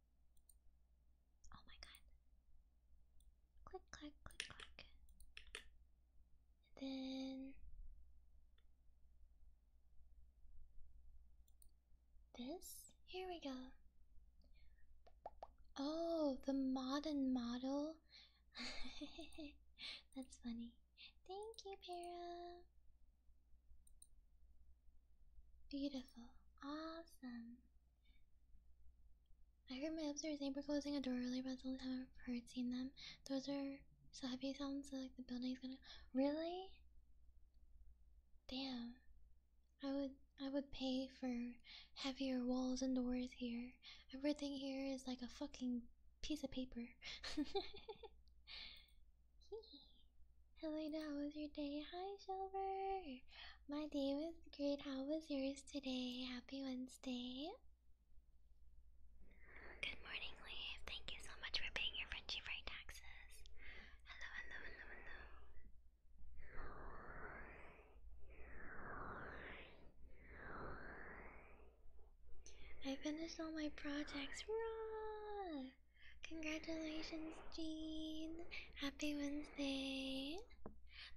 Oh my god. Click, click, click, click. And then this. Here we go. Oh, the modern model. That's funny. Thank you, Para. Beautiful. Awesome. I heard my upstairs neighbor closing a door earlier, but that's the only time I've heard seen them. Those are so heavy sounds like the building's gonna Really? Damn. I would I would pay for heavier walls and doors here. Everything here is like a fucking piece of paper. Hello, how was your day? Hi, Silver. My day was great. How was yours today? Happy Wednesday. Good morning, Leaf. Thank you so much for paying your Frenchie Fry taxes. Hello, hello, hello, hello. I finished all my projects. Congratulations, Jean. Happy Wednesday right?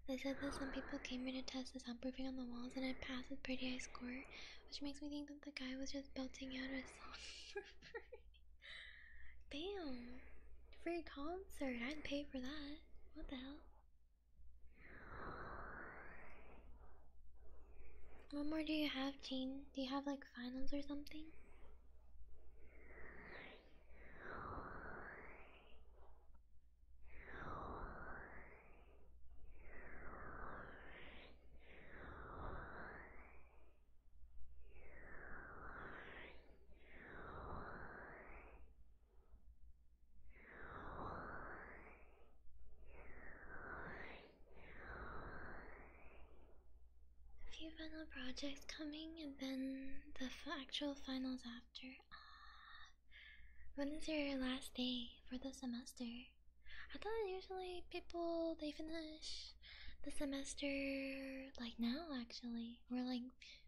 They said that some people came in to test the soundproofing on the walls and I passed with pretty high score, which makes me think that the guy was just belting out a song for free. Damn! Free concert, I'd pay for that. What the hell? What more do you have, Jean? Do you have like finals or something? A few final projects coming and then the actual finals after. Uh, when is your last day for the semester? I thought usually people they finish the semester like now actually, or like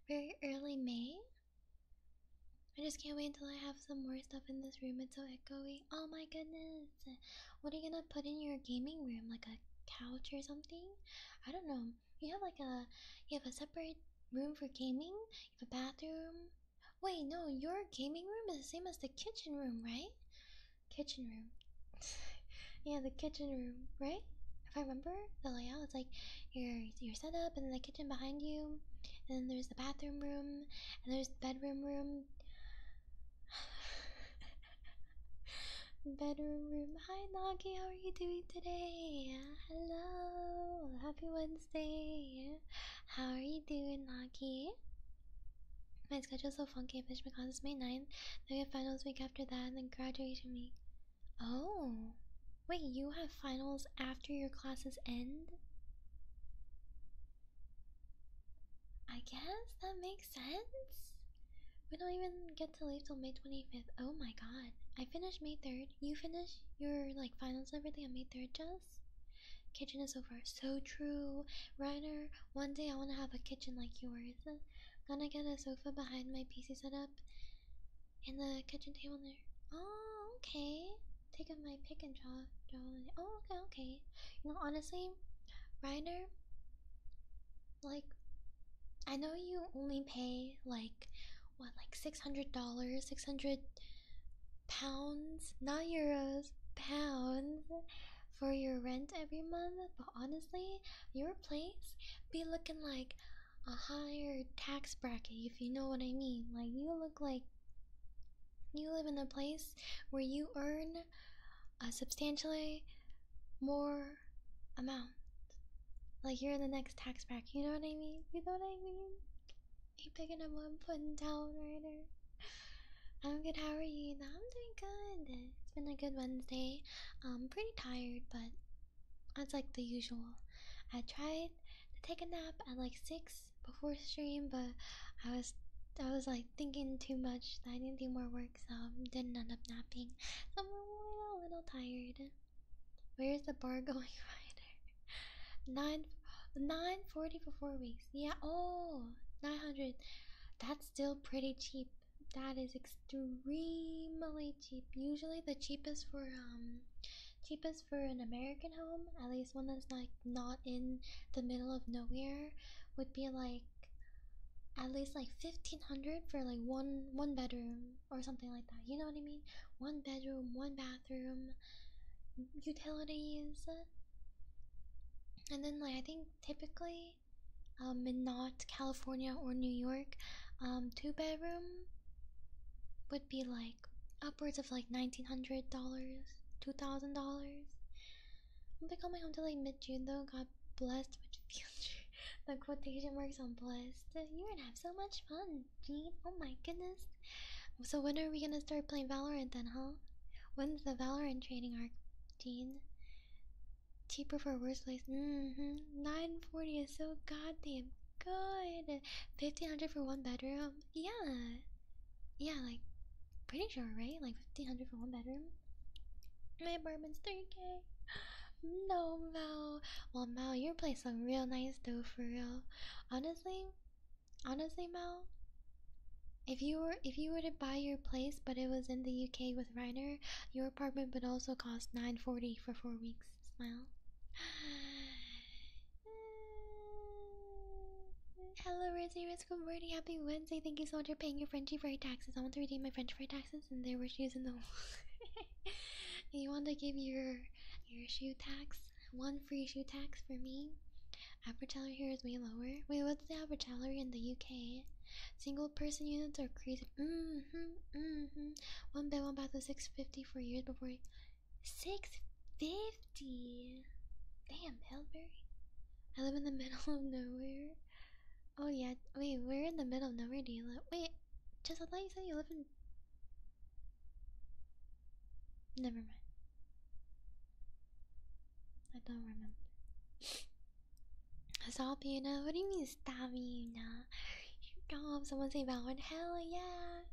very early May. I just can't wait until I have some more stuff in this room. It's so echoey. Oh my goodness. What are you gonna put in your gaming room? Like a couch or something? I don't know you have like a, you have a separate room for gaming. You have a bathroom. Wait, no, your gaming room is the same as the kitchen room, right? Kitchen room. yeah, the kitchen room, right? If I remember the layout, it's like your your setup, and then the kitchen behind you, and then there's the bathroom room, and there's the bedroom room. bedroom room Hi Nagi, how are you doing today? Hello, happy Wednesday. How are you doing, Nagi? My schedule's so funky, I finished my classes May 9th, then we have finals week after that, and then graduation week. Oh, wait, you have finals after your classes end? I guess that makes sense. We don't even get to leave till May 25th. Oh my god. I finished May 3rd you finish your like finals and everything on May third, Just Kitchen is so far, So true, Ryder, One day I want to have a kitchen like yours. I'm gonna get a sofa behind my PC setup, and the kitchen table there. Oh, okay. Take up my pick and draw. draw Oh, okay, okay. You know, honestly, Ryder, like I know you only pay like what, like six hundred dollars, six hundred pounds, not euros, pounds for your rent every month, but honestly, your place be looking like a higher tax bracket if you know what I mean. Like you look like you live in a place where you earn a substantially more amount. Like you're in the next tax bracket, you know what I mean? You know what I mean? Keep picking up one putting down, town, Ryder. I'm good, how are you? I'm doing good. It's been a good Wednesday. I'm pretty tired, but that's like the usual. I tried to take a nap at like 6 before stream, but I was I was like thinking too much. I didn't do more work, so I didn't end up napping. I'm a little tired. Where's the bar going, Ryder? Nine, nine forty for four weeks. Yeah. Oh, nine hundred. That's still pretty cheap. That is extremely cheap. Usually, the cheapest for um, cheapest for an American home, at least one that's like not in the middle of nowhere, would be like at least like fifteen hundred for like one one bedroom or something like that. You know what I mean? One bedroom, one bathroom, utilities. And then, like, I think typically, um, in not California or New York, um, two bedroom would be like upwards of like nineteen hundred dollars, two thousand dollars. I'm gonna my home till like mid June though. God blessed with future. the quotation marks on blessed. You're gonna have so much fun. 17? Oh my goodness. So when are we gonna start playing Valorant then, huh? When's the Valorant training arc, Dean? Cheaper for worse place. Mm-hmm. 940 is so goddamn good. 1500 for one bedroom. Yeah. Yeah, like pretty sure, right? Like 1500 for one bedroom. My apartment's 3k. No, Mao. Well, Mao, your place playing real nice though, for real. Honestly, honestly, Mao, if you were if you were to buy your place, but it was in the UK with Reiner, your apartment would also cost nine forty for four weeks. Smile. Hello, Rosie Risk. Good Happy Wednesday. Thank you so much for paying your Frenchie fry taxes. I want to redeem my French fry taxes, and there were shoes in the. you want to give your your shoe tax one free shoe tax for me? Average salary here is way lower. Wait, what's the average salary in the UK? Single person units are crazy. Mm hmm. Mm hmm. One bed, one bath was six fifty for years before. Six fifty. Damn, Hellberry. I live in the middle of nowhere. Oh yeah. Wait, where in the middle of nowhere do you live? Wait, just I thought you said you live in Never mind. I don't remember. Stop you now. What do you mean stop you now? Stop. Someone say Valorant. Hell yeah.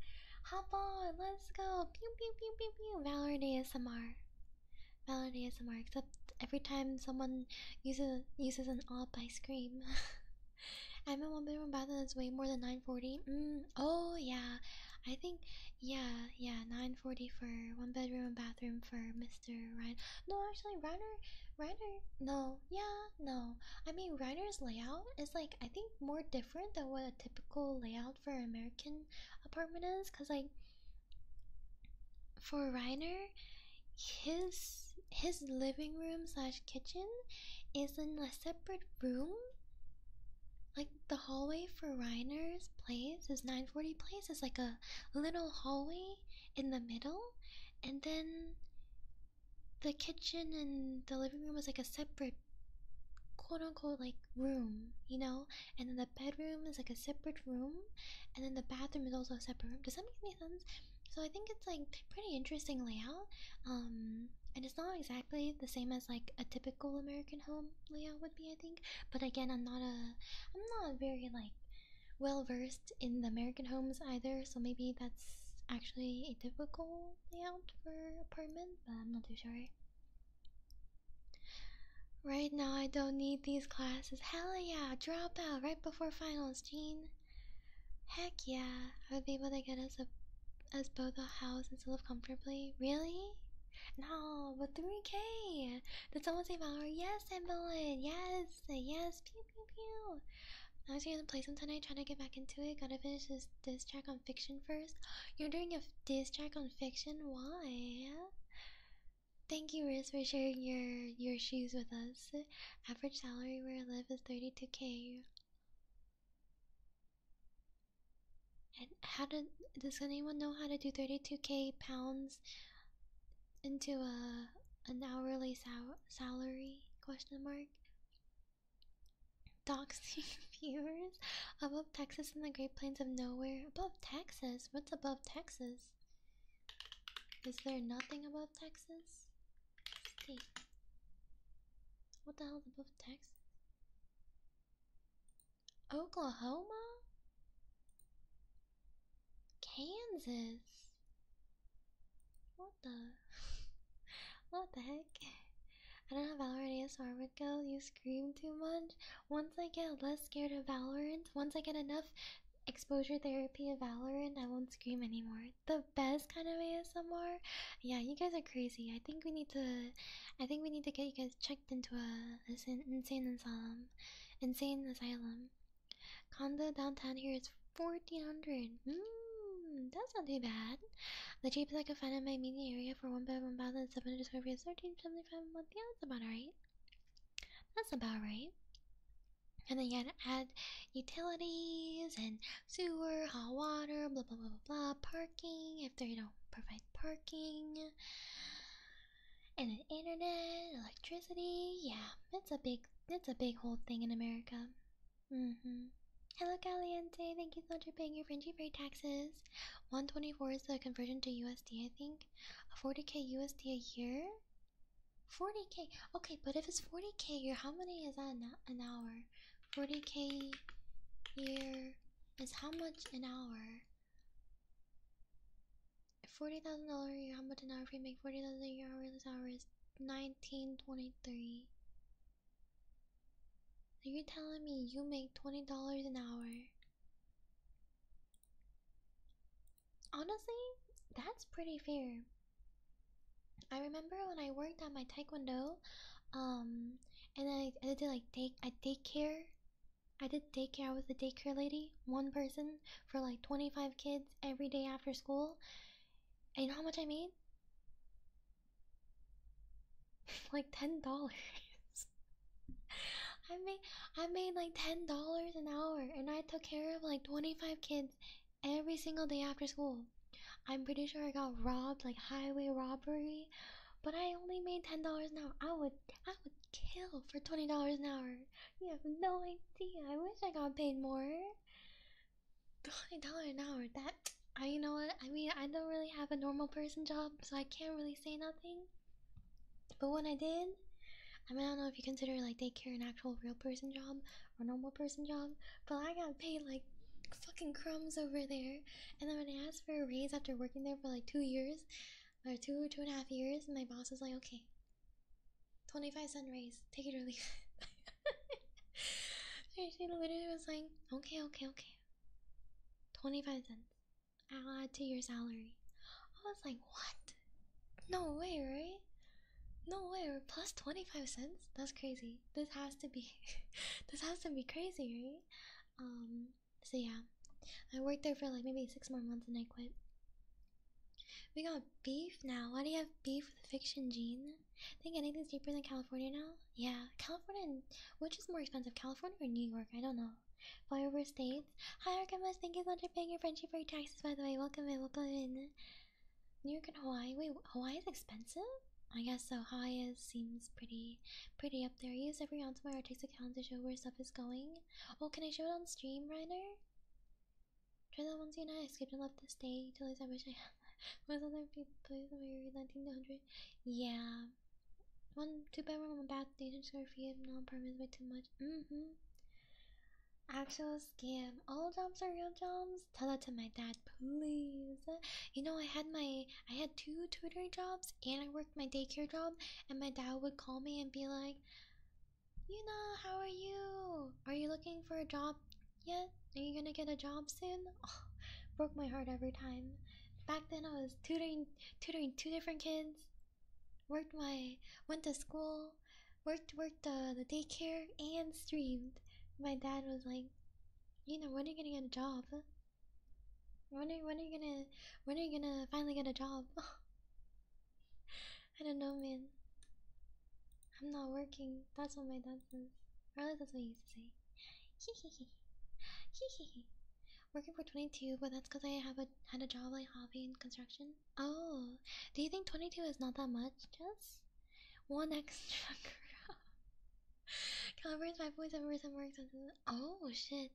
Hop on. Let's go. Pew pew pew pew pew. Valorant ASMR. Valorant ASMR. Except every time someone uses uses an op, I scream. I'm in one bedroom bathroom that's way more than 940. Mm, oh yeah, I think yeah yeah 940 for one bedroom and bathroom for Mr. Ryan. No, actually Reiner, Reiner. No, yeah no. I mean Reiner's layout is like I think more different than what a typical layout for American apartment is, cause like for Reiner, his his living room slash kitchen is in a separate room? Like the hallway for Reiner's place, his 940 place, is like a little hallway in the middle, and then the kitchen and the living room was like a separate quote unquote like room, you know? And then the bedroom is like a separate room, and then the bathroom is also a separate room. Does that make any sense? So I think it's like pretty interesting layout. Um, and it's not exactly the same as like a typical American home layout would be, I think. But again, I'm not a, I'm not very like well versed in the American homes either. So maybe that's actually a typical layout for apartment, but I'm not too sure. Right now, I don't need these classes. Hell yeah! Drop out right before finals, Gene. Heck yeah, I would be able to get us a as both a house and still live comfortably. Really? No, but 3k! Did someone say Valor? Yes, Evelyn! Yes! Yes! Pew pew pew! I was gonna play some tonight, trying to get back into it. Gotta finish this diss track on fiction first. You're doing a diss track on fiction? Why? Thank you, Riz, for sharing your your shoes with us. Average salary where I live is 32k. And how did does anyone know how to do 32k pounds into a an hourly sal salary question mark? Doxing viewers above Texas and the Great Plains of Nowhere. Above Texas? What's above Texas? Is there nothing above Texas? What the hell above Texas? Oklahoma? Kansas? What the? what the heck? I don't know how Valorant ASMR would go. You scream too much. Once I get less scared of Valorant, once I get enough exposure therapy of Valorant, I won't scream anymore the best kind of ASMR. Yeah, you guys are crazy. I think we need to, I think we need to get you guys checked into a, a insane asylum, insane asylum. Condo downtown here is fourteen hundred. Mmm, that's not too bad. The cheapest I could find in my media area for one bedroom, one bathroom, seven hundred square feet is thirteen seventy five a month. Yeah, that's about right. That's about right. And then you got to add utilities and sewer, hot water, blah blah blah blah blah, parking if they don't provide parking, and then internet, electricity. Yeah, it's a big, it's a big whole thing in America. Mm-hmm. Hello, Caliente. Thank you so much for paying your Frenchie Free taxes. 124 is the conversion to USD, I think. 40k USD a year? 40k. Okay, but if it's 40k a year, how many is that an, an hour? 40k year is how much an hour? Forty thousand dollar year, how much an hour if you make forty thousand a year hours hours nineteen twenty three. Are you telling me you make twenty dollars an hour? Honestly, that's pretty fair. I remember when I worked at my taekwondo, um, and I, did like take I daycare. I did daycare. I was the daycare lady, one person for like twenty five kids every day after school. And you know how much I made? like ten dollars. I made I made like ten dollars an hour, and I took care of like twenty five kids every single day after school. I'm pretty sure I got robbed, like highway robbery, but I only made ten dollars an hour. I would, I would kill for twenty dollars an hour. You have no idea. I wish I got paid more. Twenty dollars an hour. That I, you know what? I mean, I don't really have a normal person job, so I can't really say nothing. But when I did, I mean, I don't know if you consider like daycare an actual real person job, a normal person job, but I got paid like fucking crumbs over there. And then when I asked for a raise after working there for like two years, or two, two and a half years, my boss was like, okay, 25 cent raise, take it or leave it. she literally was like, okay, okay, okay, 25 cents, I'll add to your salary. I was like, what? No way, right? No way, 25 cents? That's crazy this has to be this has to be crazy, right? Um so yeah. I worked there for like maybe six more months and I quit. We got beef now. Why do you have beef with fiction Gene? Think anything's deeper than California now? Yeah. California which is more expensive? California or New York? I don't know. Flyover states. Hi Archimus, thank you so much for paying your friendship for your taxes by the way. Welcome in, welcome in. New York and Hawaii. Wait, Hawaii is expensive? I guess so. Hawaii seems pretty pretty up there. Use every ounce of my Artix account to show where stuff is going. Oh, can I show it on stream, Reiner? Try that once you know I skipped and left this day. Totally, I wish I had was other people place of 1900. Yeah. One two bedroom and bath, 800 square feet, no apartments way too much. Mm hmm. Actual scam. All jobs are real jobs tell that to my dad please you know i had my i had two tutoring jobs and i worked my daycare job and my dad would call me and be like you know how are you are you looking for a job yet are you gonna get a job soon oh, broke my heart every time back then i was tutoring tutoring two different kids worked my went to school worked worked uh, the daycare and streamed my dad was like you know, when are you gonna get a job? When are when are you gonna when are you gonna finally get a job? I don't know, man. I'm not working. That's what my dad says. Or at least that's what he used to say. Hee hee Working for 22, but that's because I have a had a job like hobby in construction. Oh, do you think 22 is not that much? Jess? one extra girl. Calibrates my voice and voice and works on Oh shit.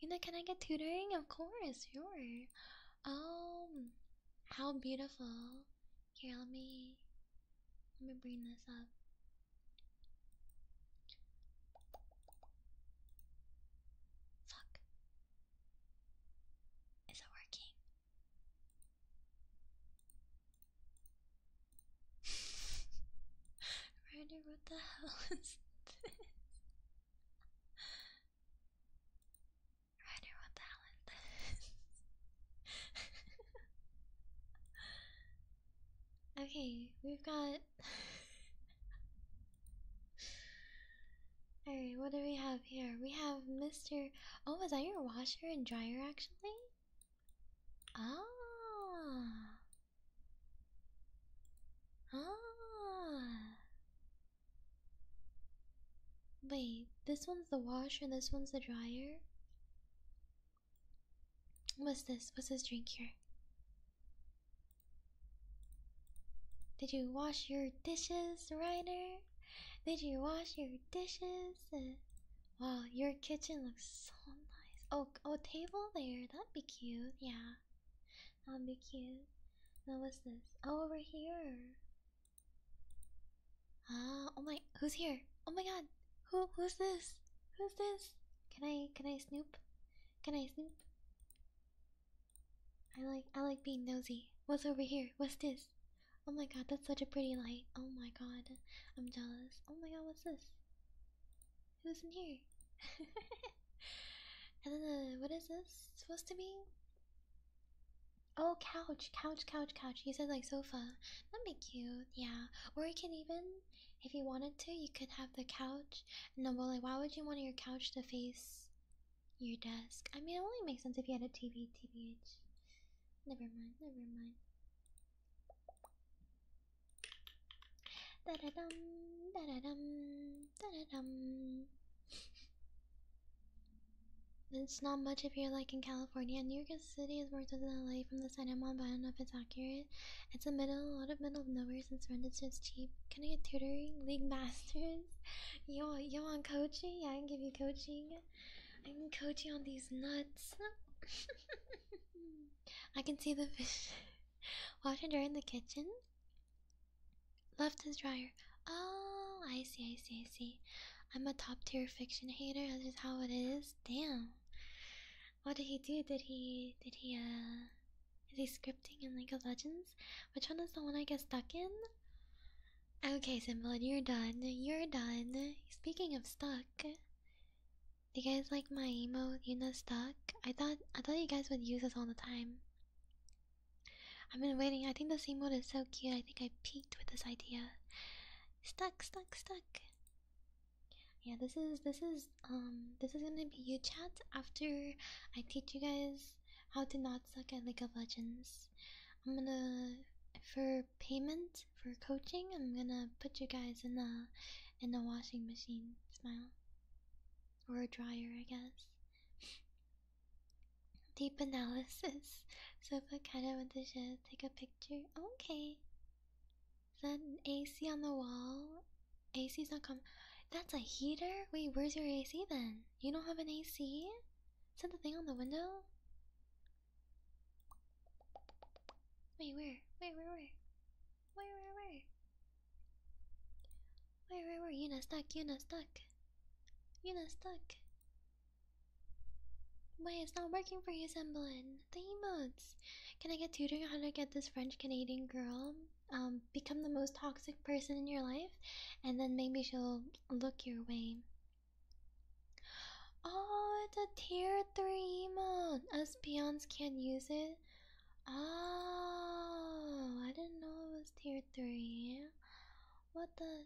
You know, can I get tutoring? Of course, sure. Um how beautiful. Here, let me let me bring this up. Fuck. Is it working? Ryder, what the hell is this? Ryder, what the hell is this? okay, we've got. Alright, what do we have here? We have Mr. Oh, is that your washer and dryer actually? Ah. Ah. Wait, this one's the washer this one's the dryer. What's this? What's this drink here? Did you wash your dishes, Ryder? Did you wash your dishes? Wow, your kitchen looks so nice. Oh, oh, table there. That'd be cute. Yeah, that'd be cute. What was this? Oh, over here. Ah, oh my, who's here? Oh my God, who, who's this? Who's this? Can I, can I snoop? Can I snoop? I like, I like being nosy. What's over here? What's this? Oh my God, that's such a pretty light. Oh my God, I'm jealous. Oh my God, what's this? Who's in here? and then, what is this supposed to be? Oh, couch, couch, couch, couch. You said like sofa. That'd be cute, yeah. Or you can even, if you wanted to, you could have the couch. No, but like, why would you want your couch to face your desk? I mean, it only makes sense if you had a TV, TVH. Never mind, never mind. Da da dum, da da dum, da da dum. It's not much if you're like in California. New York City is worth it than LA from the side I'm on, but I don't know if it's accurate. It's a middle, a lot of middle of nowhere since rent is just cheap. Can I get tutoring? League Masters? You want, you coaching? Yeah, I can give you coaching. I can coach you on these nuts. I can see the fish. Washer in the kitchen. Left is dryer. Oh, I see, I see, I see. I'm a top tier fiction hater. That's just how it is. Damn. What did he do? Did he? Did he? Uh, is he scripting in League of Legends? Which one is the one I get stuck in? Okay, Simblad, you're done. You're done. Speaking of stuck, you guys like my emo? you not stuck? I thought I thought you guys would use this all the time. I've been waiting. I think the this mode is so cute. I think I peaked with this idea. Stuck, stuck, stuck. Yeah, this is this is um this is gonna be you chat after I teach you guys how to not suck at League of Legends. I'm gonna for payment for coaching, I'm gonna put you guys in the in the washing machine. Smile, or a dryer, I guess. Deep analysis. So if I kinda want to Take a picture. Okay. Is that AC on the wall? AC's not com. That's a heater. Wait, where's your AC then? You don't have an AC? Is that the thing on the window? Wait, where? Where, where, where? Where, where, where? Where, where, where? You're not stuck, you're not stuck. You're not stuck. Wait, it's not working for you, Semblin. The emotes. Can I get tutoring how to get this French Canadian girl? Um, become the most toxic person in your life, and then maybe she'll look your way. Oh, it's a tier 3 emote. Us peons can't use it. Oh, I didn't know it was tier 3. What the?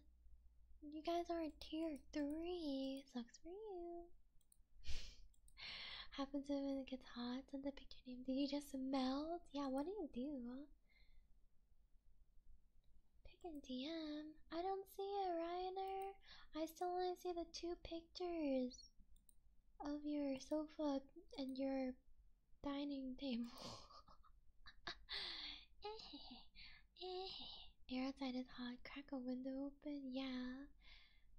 You guys aren't tier 3. Sucks for you. Happens when it gets hot. Send the picture name. Did you just melt? Yeah, what do you do? Pick and DM. I don't see a Reiner. I still only see the two pick pictures of your sofa and your dining table. air outside is hot. Crack a window open. Yeah.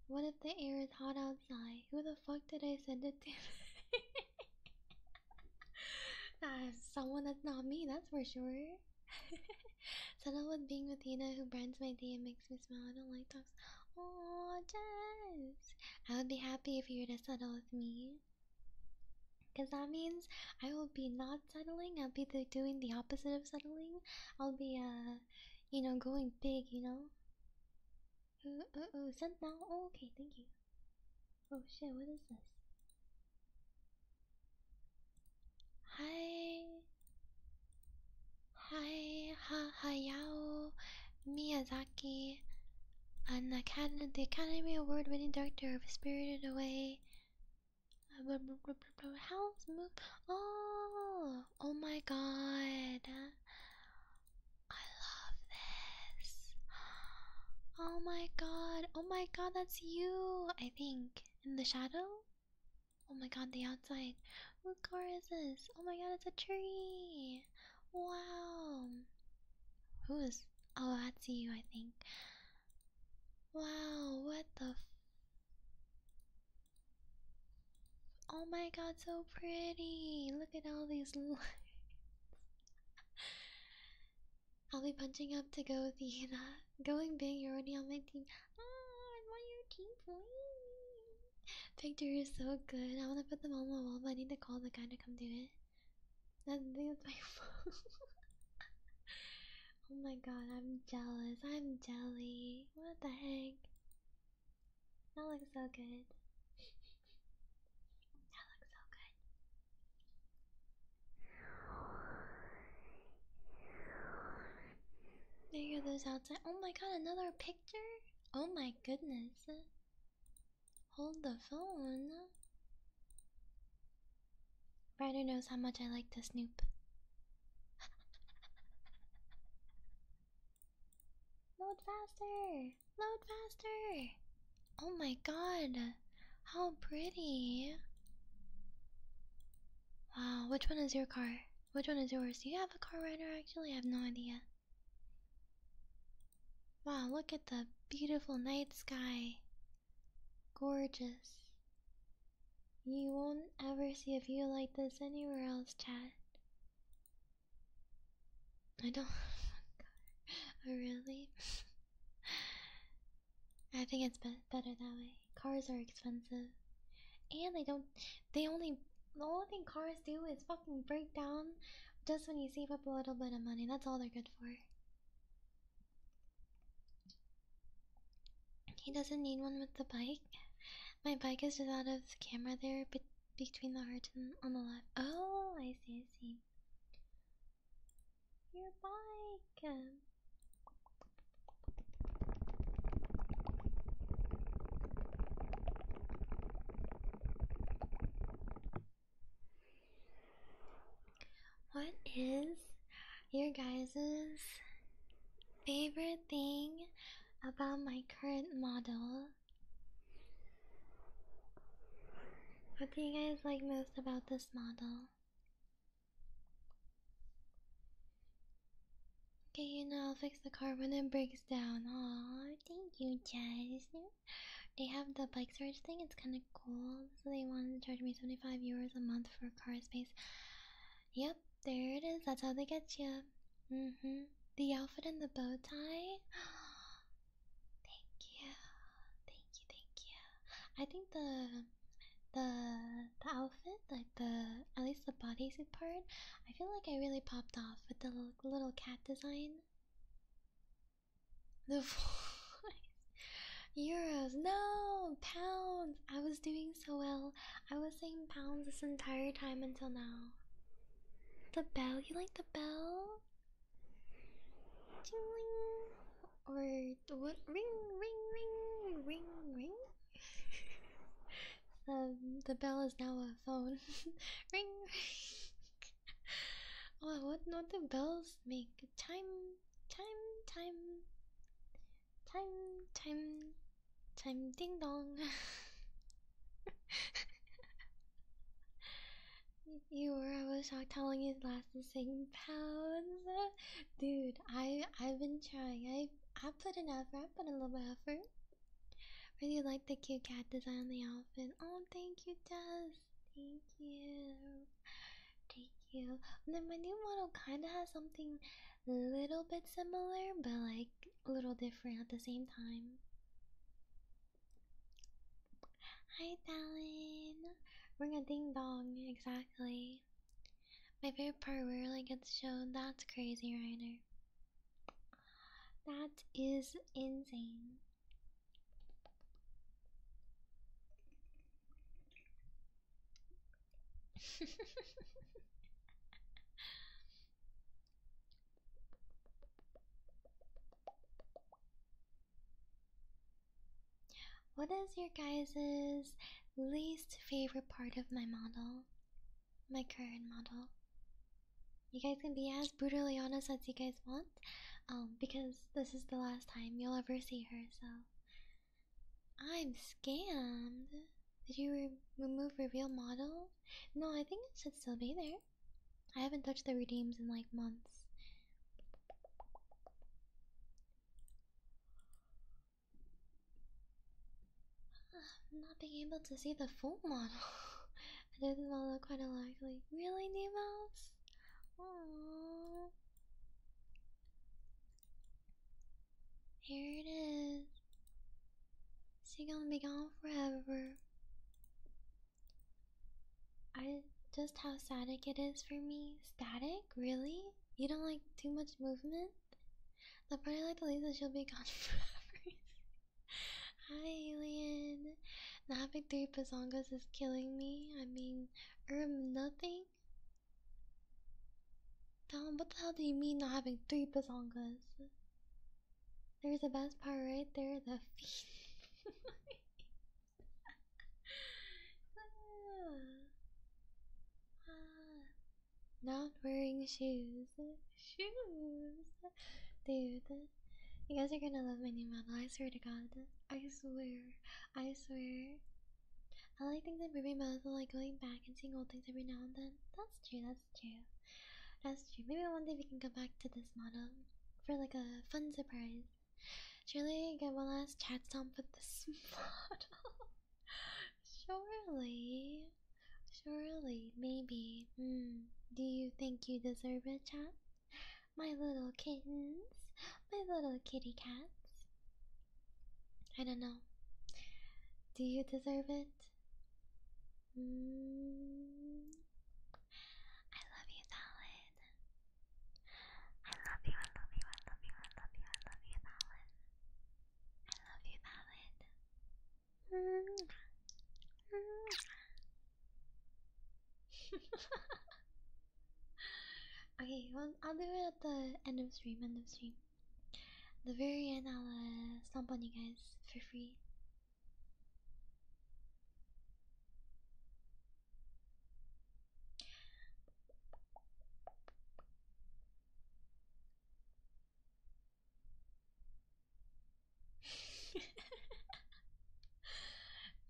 What if the air is hot outside? Who the fuck did I send it to? Uh, someone that's not me, that's for sure. Settle with being with you Tina who brands my day and makes me smile. I don't like dogs. Oh, Jess! I would be happy if you were to settle with me. Because that means I will be not settling. I'll be doing the opposite of settling. I'll be, uh, you know, going big, you know? Ooh, ooh, ooh, sent now. Oh, okay, thank you. Oh shit, what is this? Hi. Hi, ha Yao Miyazaki, an the Academy Award-winning director of *Spirited Away*. Uh, How's Oh, oh my God! I love this. Oh my God! Oh my God! That's you, I think, in the shadow. Oh my god, the outside. What car is this? Oh my god, it's a tree. Wow. Who is. Oh, that's you, I think. Wow, what the. oh my god, so pretty. Look at all these I'll be punching up to go, Athena. Going big, you're already on my team. Oh, I'm your team, please. Victor is so good. I want to put them on my wall, but I need to call the guy to come do it. That's, that's my phone. oh my god, I'm jealous. I'm jelly. What the heck? That looks so good. That looks so good. There you those outside. Oh my god, another picture? Oh my goodness. Hold the phone. Ryder knows how much I like to snoop. Load faster! Load faster! Oh my god! How pretty! Wow, which one is your car? Which one is yours? Do you have a car rider actually? I have no idea. Wow, look at the beautiful night sky. Gorgeous. You won't ever see a view like this anywhere else, Chad. I don't. Oh, oh, really? I think it's better that way. Cars are expensive. And they don't they only the only thing cars do is fucking break down just when you save up a little bit of money. That's all they're good for. He doesn't need one with the bike. My bike is just out of the camera there be between the heart and on the left. Oh, I see, I see. Your bike. What is your guys's favorite thing about my current model? What do you guys like most about this model? Okay, you know I'll fix the car when it breaks down. Oh, thank you, Jess. They have the bike storage thing, it's kinda cool. So they wanted to charge me 75 euros a month for car space. Yep, there it is. That's how they get you. Mm-hmm. The outfit and the bow tie. thank you. Thank you, thank you. I think the the the outfit, like the at least the bodysuit part, I feel like I really popped off with the little, cat design. The euros, no pounds. I was doing so well. I was saying pounds this entire time until now. The bell, you like the bell? Or what? Ring, ring, ring, ring, ring. um, the bell is now a phone. ring, ring. oh, what what the bells make? Time, time, time, time, time, time. Ding dong. You were. I was shocked how long it lasted. Sing pounds, dude. I I've been trying. I I put an effort. I put a little bit effort. Really like the cute cat design on the outfit. Oh, thank you, Jess. Thank you. Thank you. And my new model kind of has something a little bit similar, but like a little different at the same time. Hi, Talon. Ring a ding dong, exactly. My favorite part where like it's shown. That's crazy, Reiner. That is insane. what is your guys' least favorite part of my model? my current model. You guys can be as brutally honest as you guys want, um, because this is the last time you'll ever see her. So I'm scammed. Did you remove remove real model? No, I think it should still be there. I haven't touched the redeems in like months. I'm not being able to see the full model. I did this model quite a lot. Like, really, Nemos? Aww. Here it is. She gonna be gone forever. I just how static it is for me. Static? Really? You don't like too much movement? The party like the Lisa, she'll be gone forever. Hi, alien. Not having three Pazongas is killing me. I mean, um, nothing. Tom, what the hell do you mean not having three Pazongas? There's the best part right there, the feet. Ah. Ah. Not wearing shoes. Shoes. Dude. You guys are gonna love my new model. I swear to God. I swear. I swear. I like things that move my mouth like going back and seeing old things every now and then. That's true. That's true. That's true. Maybe one day we can go back to this model for like a fun surprise. Surely I get one last chat stop with this model surely, surely, maybe. Mm. Do you think you deserve it, chat? My little kittens, my little kitty cats. I don't know. Do you deserve it? Mm. I love you, Talon. I love you, I love you, I love you, I love you, I love you, Talon. I love you, Talon. okay, I'll do it at the end of stream, end of stream. the very end, I'll uh, stomp on you guys for free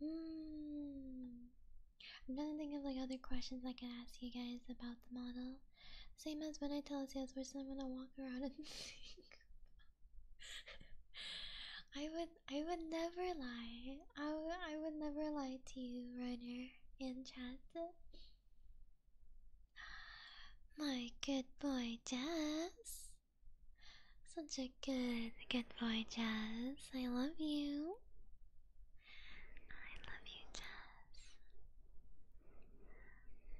mm. I'm trying to think of like other questions I could ask you guys about the model. Same as when I tell a salesperson I'm gonna walk around and think. I would I would never lie. I, I would never lie to you, Runner, in chat. My good boy, Jess, Such a good, good boy, Jess. I love you. I love you, Jazz.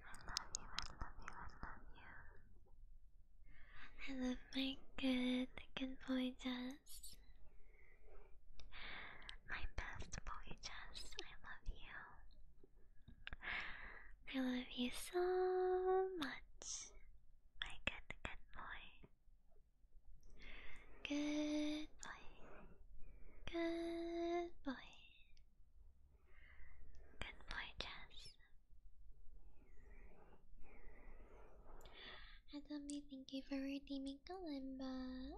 I love you, I love you, I love you. I love my good, good boy, Jazz. My best boy, Jess, I love you. I love you so much, my good, good boy. Good boy. Good boy. Good boy, Jess. Adami, thank you for redeeming Kalimba.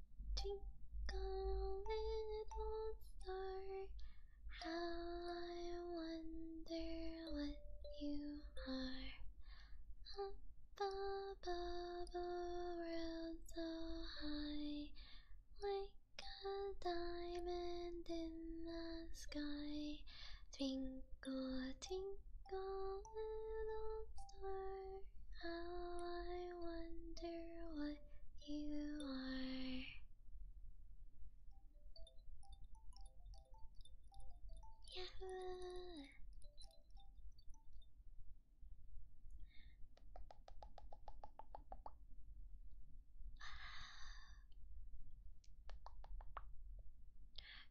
Twinkle little star, how I wonder what you are. Up above, around so high, like a diamond in the sky. Twinkle, twinkle, little star, how I wonder what you are. Yahoo!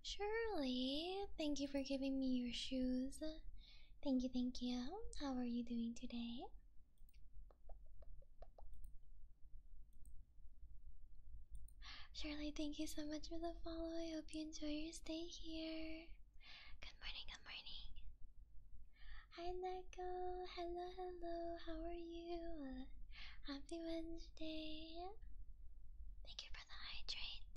Shirley, thank you for giving me your shoes. Thank you, thank you. How are you doing today? Shirley, thank you so much for the follow. I hope you enjoy your stay here. Good morning, good morning. Hi, Neko. Hello, hello. How are you? Happy Wednesday. Thank you for the hydrate.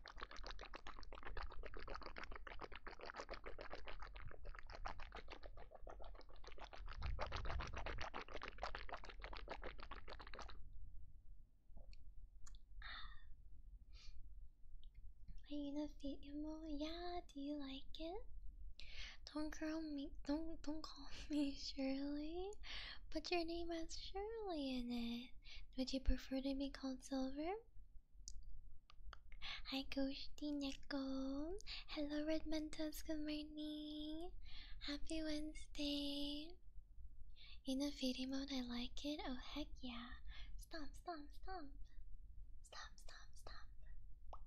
Are you Yeah, do you like it? Don't call me don't don't call me Shirley. Put your name as Shirley in it. Would you prefer to be called Silver? Hi, Ghosty Nickel. Hello, Red Mentos. Good morning. Happy Wednesday. In a fairy mode, I like it. Oh, heck yeah. Stomp, stomp, stomp. Stomp, stomp, stomp.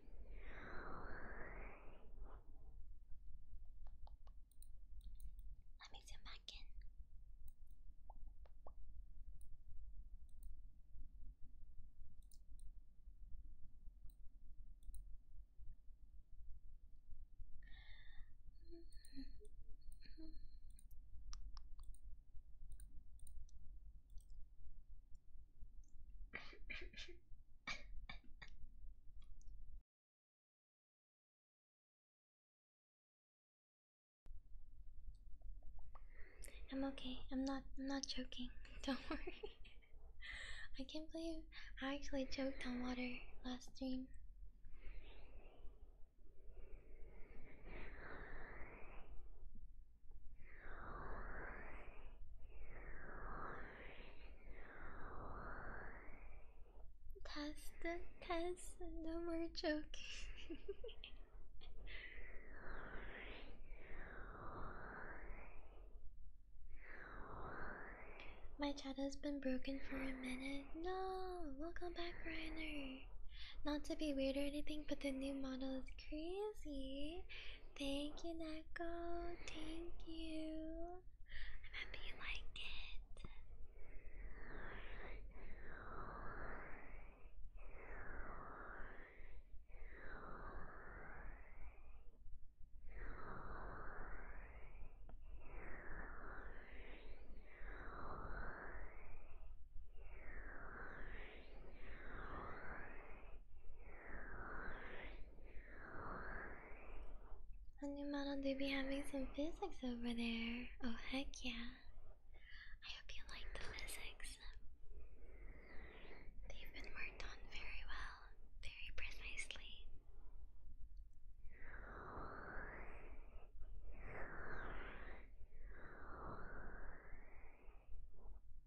Let me zoom back in. I'm okay. I'm not I'm not joking. Don't worry. I can't believe I actually choked on water last stream. Test the test, no more joking. My chat has been broken for a minute. No, welcome back, Reiner. Not to be weird or anything, but the new model is crazy. Thank you, Nako. Thank you. I'm happy you like it. A new model do be having some physics over there. Oh heck yeah. I hope you like the physics. They've been worked on very well, very precisely.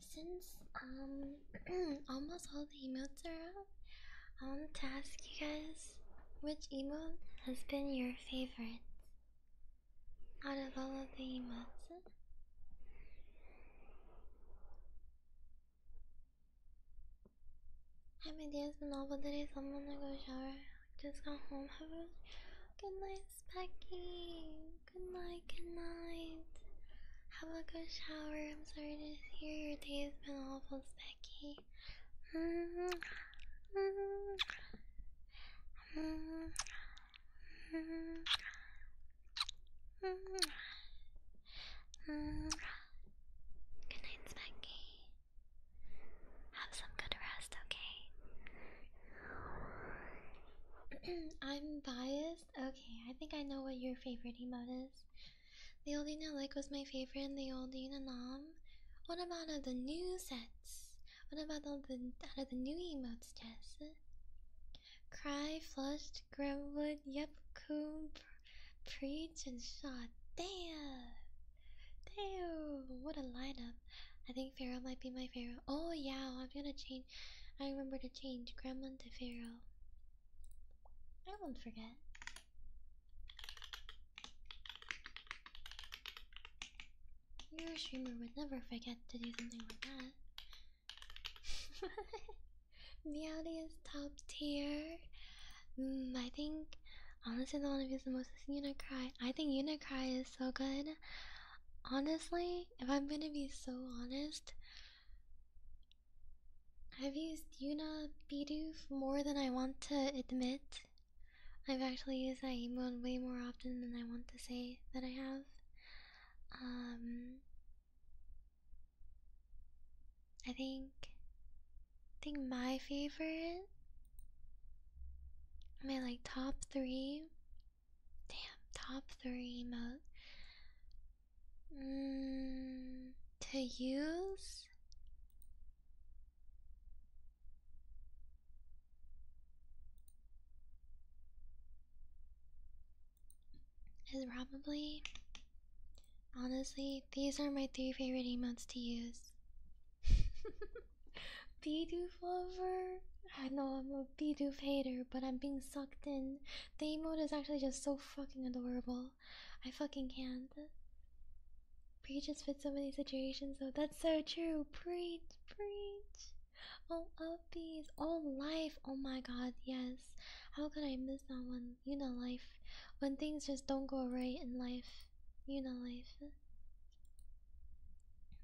since um almost all the emails are up, I want to ask you guys which email has been your favorite out of all of the emails? Hi my dears, been all but today someone to go shower. Just got home. Have a good night, Princess Good night, good night. Have a good shower. I'm sorry to hear your day has been awful, Becky. Mm -hmm. Mm -hmm. Mm -hmm. Good night, Specky. Have some good rest, okay? I'm biased? Okay, I think I know what your favorite emote is. The Oldina Lake was my favorite and the Oldina Nom. What about uh, the new sets? What about all the out of the new emotes, Jess? Cry, flushed, gremlin, yep, coom, preach, and shot. Damn! Damn! What a lineup. I think Pharaoh might be my favorite. Oh yeah, I'm gonna change I remember to change grandma to Pharaoh. I won't forget. Your streamer would never forget to do something like that. Meowdy is top tier. Mm, I think, honestly, the one of who's the most is Unicry. I think Unicry is so good. Honestly, if I'm gonna be so honest, I've used Yuna Bidoof more than I want to admit. I've actually used that emote way more often than I want to say that I have. Um, I think, I think my favorite, my like top three Damn, top three emote. Mm, to use? Is probably. Honestly, these are my three favorite emotes to use. they do lover. I know I'm a Bidoof hater, but I'm being sucked in. The emote is actually just so fucking adorable. I fucking can't. Preach just fits so many situations though. That's so true. Preach, preach. All of these. All life. Oh my god, yes. How could I miss that one? You know life. When things just don't go right in life. You know life.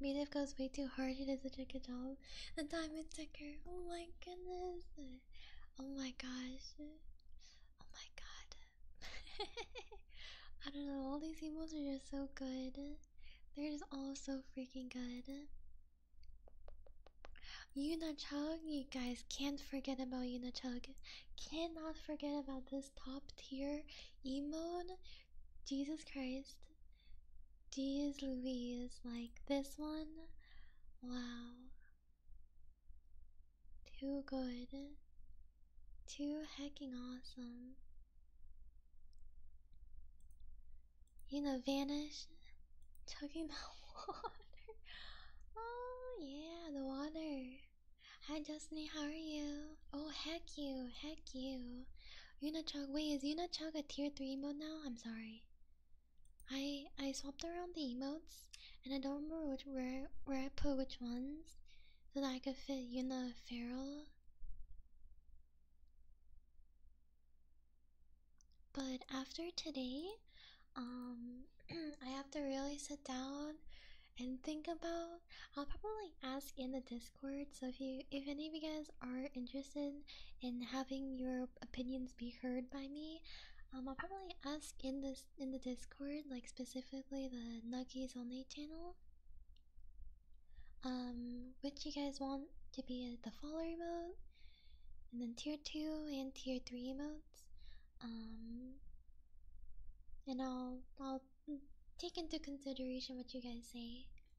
Music goes way too hard, He does a good doll, The diamond sticker, oh my goodness. Oh my gosh. Oh my god. I don't know, all these emotes are just so good. They're just all so freaking good. Yuna Chug, you guys can't forget about Yuna Chug. Cannot forget about this top tier emote. Jesus Christ. Geez Louise, like this one? Wow. Too good. Too hecking awesome. You know, vanish, chugging the water. Oh, yeah, the water. Hi, Justin, how are you? Oh, heck you, heck you. Una Chug, wait, is Una Chug a tier 3 mode now? I'm sorry. I I swapped around the emotes, and I don't remember which, where where I put which ones, so that I could fit you Yuna Feral. But after today, um, I have to really sit down and think about. I'll probably ask in the Discord. So if you, if any of you guys are interested in having your opinions be heard by me, um, I'll probably ask in this in the Discord, like specifically the Nuggies Only channel, um, which you guys want to be at the follower mode, and then tier two and tier three modes, um, and I'll I'll take into consideration what you guys say.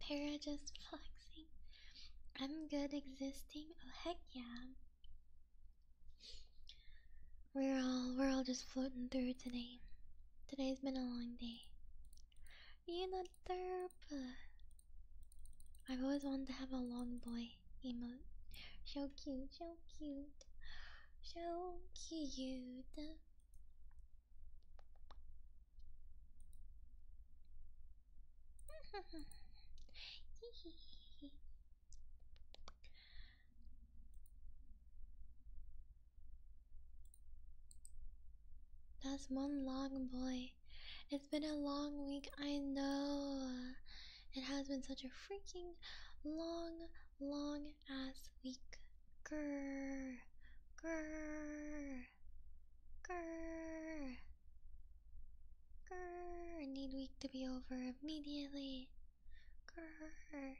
Para um, just flexing. I'm good existing. Oh heck yeah. We're all we're all just floating through today. Today's been a long day. You not there, but I've always wanted to have a long boy emote. So cute, so cute so cute. That's one long boy. It's been a long week, I know. It has been such a freaking long long as we could. Grr, grr, grr, I need week to be over immediately. Grr.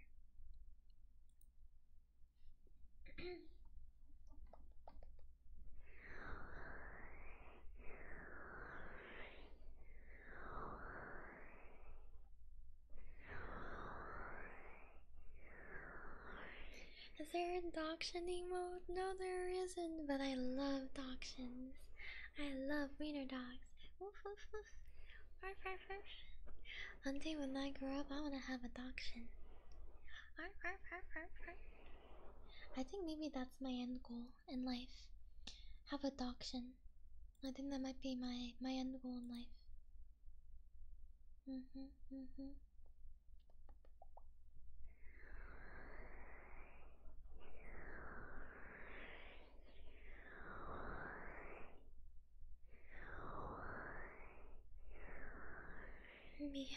Is there a Doction emote? No, there isn't, but I love Doctions. I love wiener dogs. Woof, woof, woof. Arf, arf, arf. One day when I grow up, I want to have a Doction. Arf, arf, arf, arf, arf. I think maybe that's my end goal in life. Have a Doction. I think that might be my my end goal in life. Mhm, mhm. Mm mm-hmm. Meowty.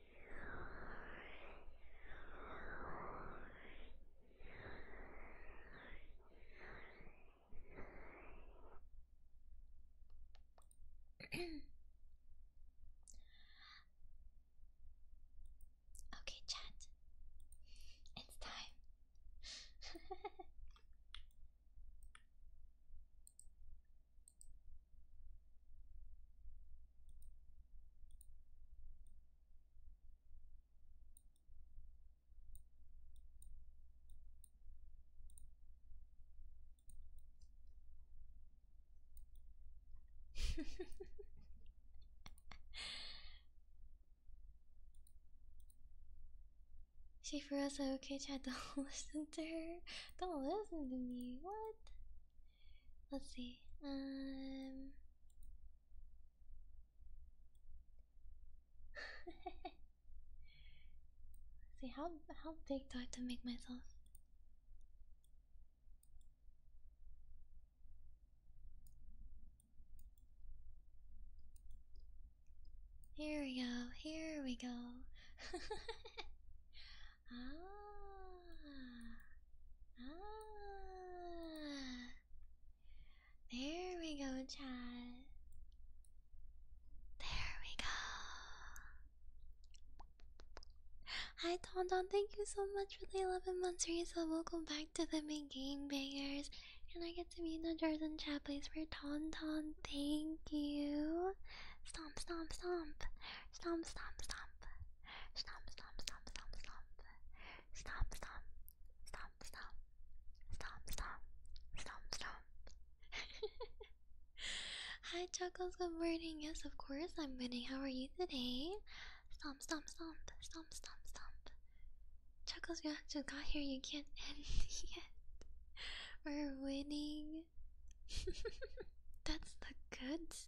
okay, chat. It's time. she for us okay chat don't listen to her don't listen to me what let's see um See how how big do I have to make myself? Here we go, here we go. ah Ah, there we go, Chad. There we go. Hi, Don Don. Thank you so much for the 11 months Teresa. Welcome back to the main game, bangers. Can I get to meet the chat, please, for Ton Ton? Thank you. Stomp, stomp, stomp. Stomp, stomp, stomp. Stomp, stomp, stomp, stomp, stomp. Stomp, stomp, stomp, stomp. Stomp, stomp, stomp, stomp. Hi, Chuckles, good morning. Yes, of course, I'm winning. How are you today? Stomp, stomp, stomp, stomp, stomp, stomp. Chuckles, you just got here. You can't end yet. We're winning. That's the goods.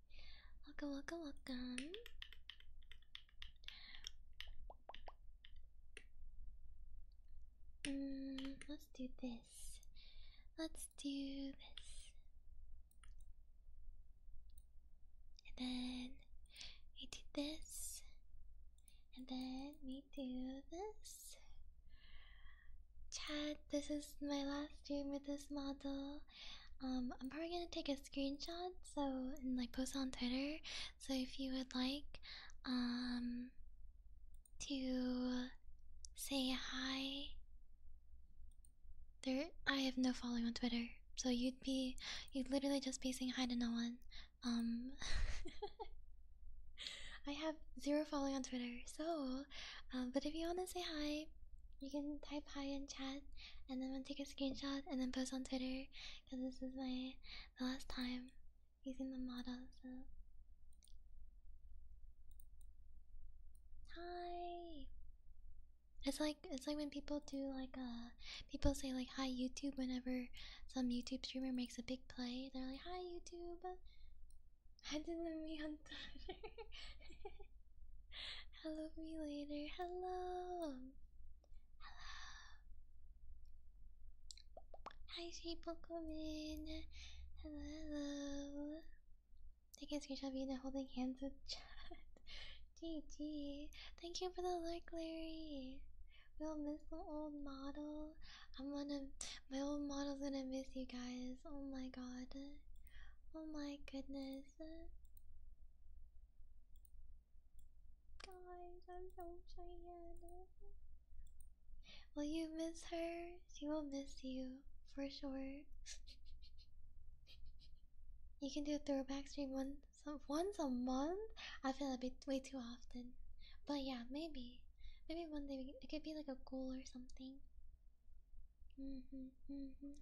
Welcome, welcome, welcome. Mm, let's do this. Let's do this. And then we do this. And then we do this. Chad, this is my last dream with this model. Um, I'm probably gonna take a screenshot so and like post on Twitter. So if you would like, um, to say hi. There, I have no following on Twitter, so you'd be, you'd literally just be saying hi to no one. Um, I have zero following on Twitter, so, um, but if you wanna say hi, you can type hi in chat, and then I'll take a screenshot and then post on Twitter. Cause this is my the last time using the model. So hi. It's like it's like when people do like uh people say like hi YouTube whenever some YouTube streamer makes a big play. They're like hi YouTube. Hi to me on Twitter. Hello me later. Hello. Hello. Hi, sweet Pokemon. Hello, Taking screenshot of you and holding hands with chat. GG. Thank you for the like, Larry. We'll miss the old model. I'm gonna. My old model's gonna miss you guys. Oh my god. Oh my goodness. Guys, I'm so excited. Will you miss her? She will miss you, for sure. you can do a throwback stream once, once a month? I feel a bit way too often. But yeah, maybe. Maybe one day it could be like a goal or something. Mm hmm, mm hmm.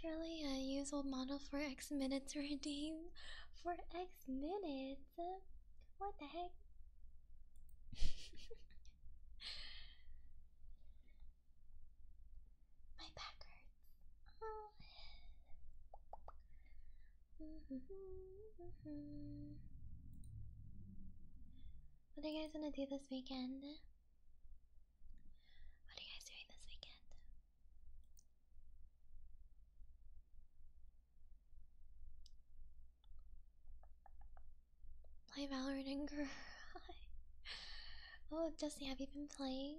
Surely I use old model for X minutes redeem for X minutes. What the heck? My back Mm-hmm. what are you guys gonna do this weekend? What are you guys doing this weekend? Play Valorant and cry. oh, Jesse, have you been playing?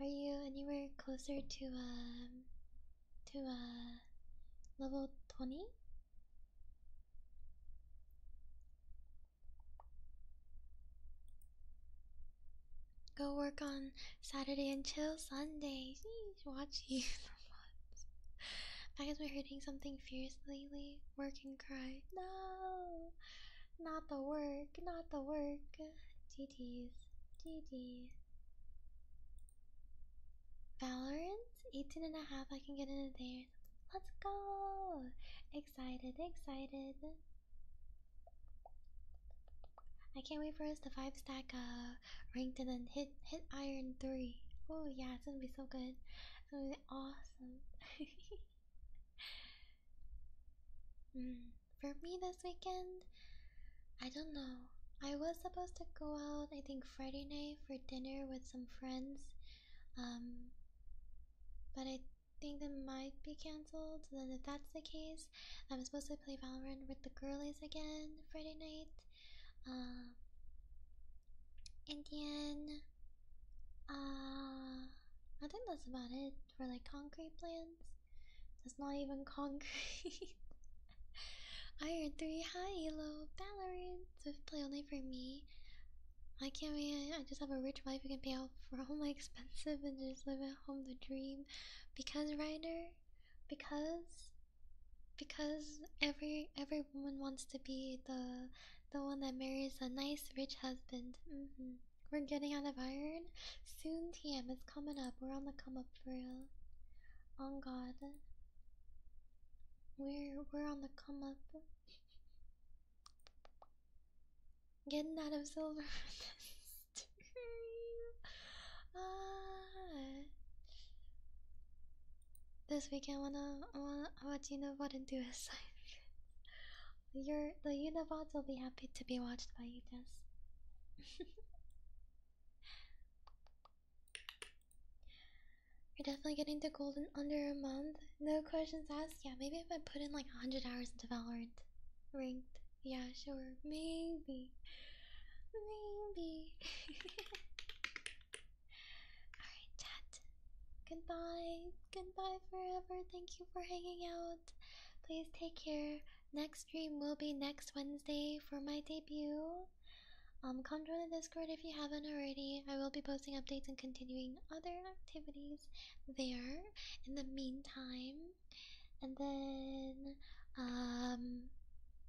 Are you anywhere closer to um to uh level twenty? Go work on Saturday and chill Sunday. Watch you. I guess we're hurting something fierce lately. Work and cry. No, not the work, not the work. DDs, DD. Valorant, 18 and a half, I can get into there. Let's go! Excited, excited. I can't wait for us to five stack uh rank and then hit hit iron three. Oh yeah, it's gonna be so good. It's gonna be awesome. mm for me this weekend, I don't know. I was supposed to go out, I think Friday night for dinner with some friends, um, but I think that might be cancelled. then, if that's the case, I'm supposed to play Valorant with the girlies again Friday night. Um, in the end, uh, I think that's about it for like concrete plans. That's not even concrete. Iron 3, high, Elo, Valorant, Swift play only for me. I can't be, I just have a rich wife who can pay off for all my expensive and just live at home the dream. Because Ryder, because, because every every woman wants to be the the one that marries a nice rich husband. Mm -hmm. We're getting out of iron soon. TM is coming up. We're on the come up for real. On God, we're we're on the come up. Getting out of silver this Ah. This weekend, wanna I wanna watch you know what to do is assignment. Your the Unibots will be happy to be watched by you, guys. We're definitely getting to gold in under a month. No questions asked. Yeah, maybe if I put in like 100 hours into Valorant. Ranked. Yeah, sure. Maybe. Maybe. Alright, chat. Goodbye. Goodbye forever. Thank you for hanging out. Please take care. Next stream will be next Wednesday for my debut. Um, come join the Discord if you haven't already. I will be posting updates and continuing other activities there in the meantime. And then, um,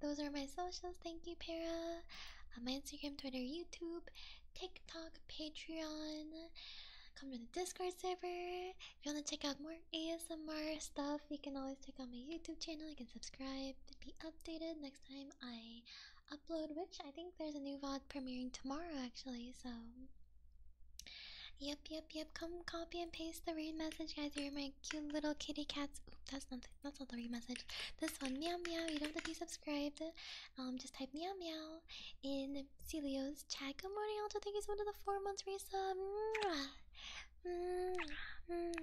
those are my socials. Thank you, Para. Uh, my Instagram, Twitter, YouTube, TikTok, Patreon. Come to the Discord server. If you want to check out more ASMR stuff, you can always check out my YouTube channel. You can subscribe to be updated next time I upload, which I think there's a new VOD premiering tomorrow actually, so Yep, yep, yep. Come copy and paste the read message, guys. You're my cute little kitty cats. Oop, that's not that's not the read message. This one, meow meow. You don't have to be subscribed. Um, just type meow meow in Celio's chat. Good morning, Alto. Thank you so much for the four months resub. Mm, mm,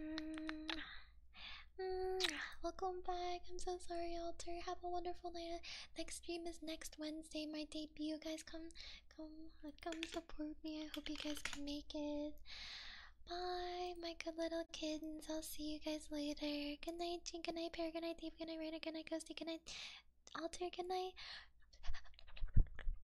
mm. Welcome back. I'm so sorry, Alter. Have a wonderful night. Next stream is next Wednesday, my debut. guys come come come support me. I hope you guys can make it. Bye, my good little kids. I'll see you guys later. Good night, Jing. Good night, Pear. Good night, Dave. Good night, Rain. Good night, Ghosty. Good night, Alter. Good night.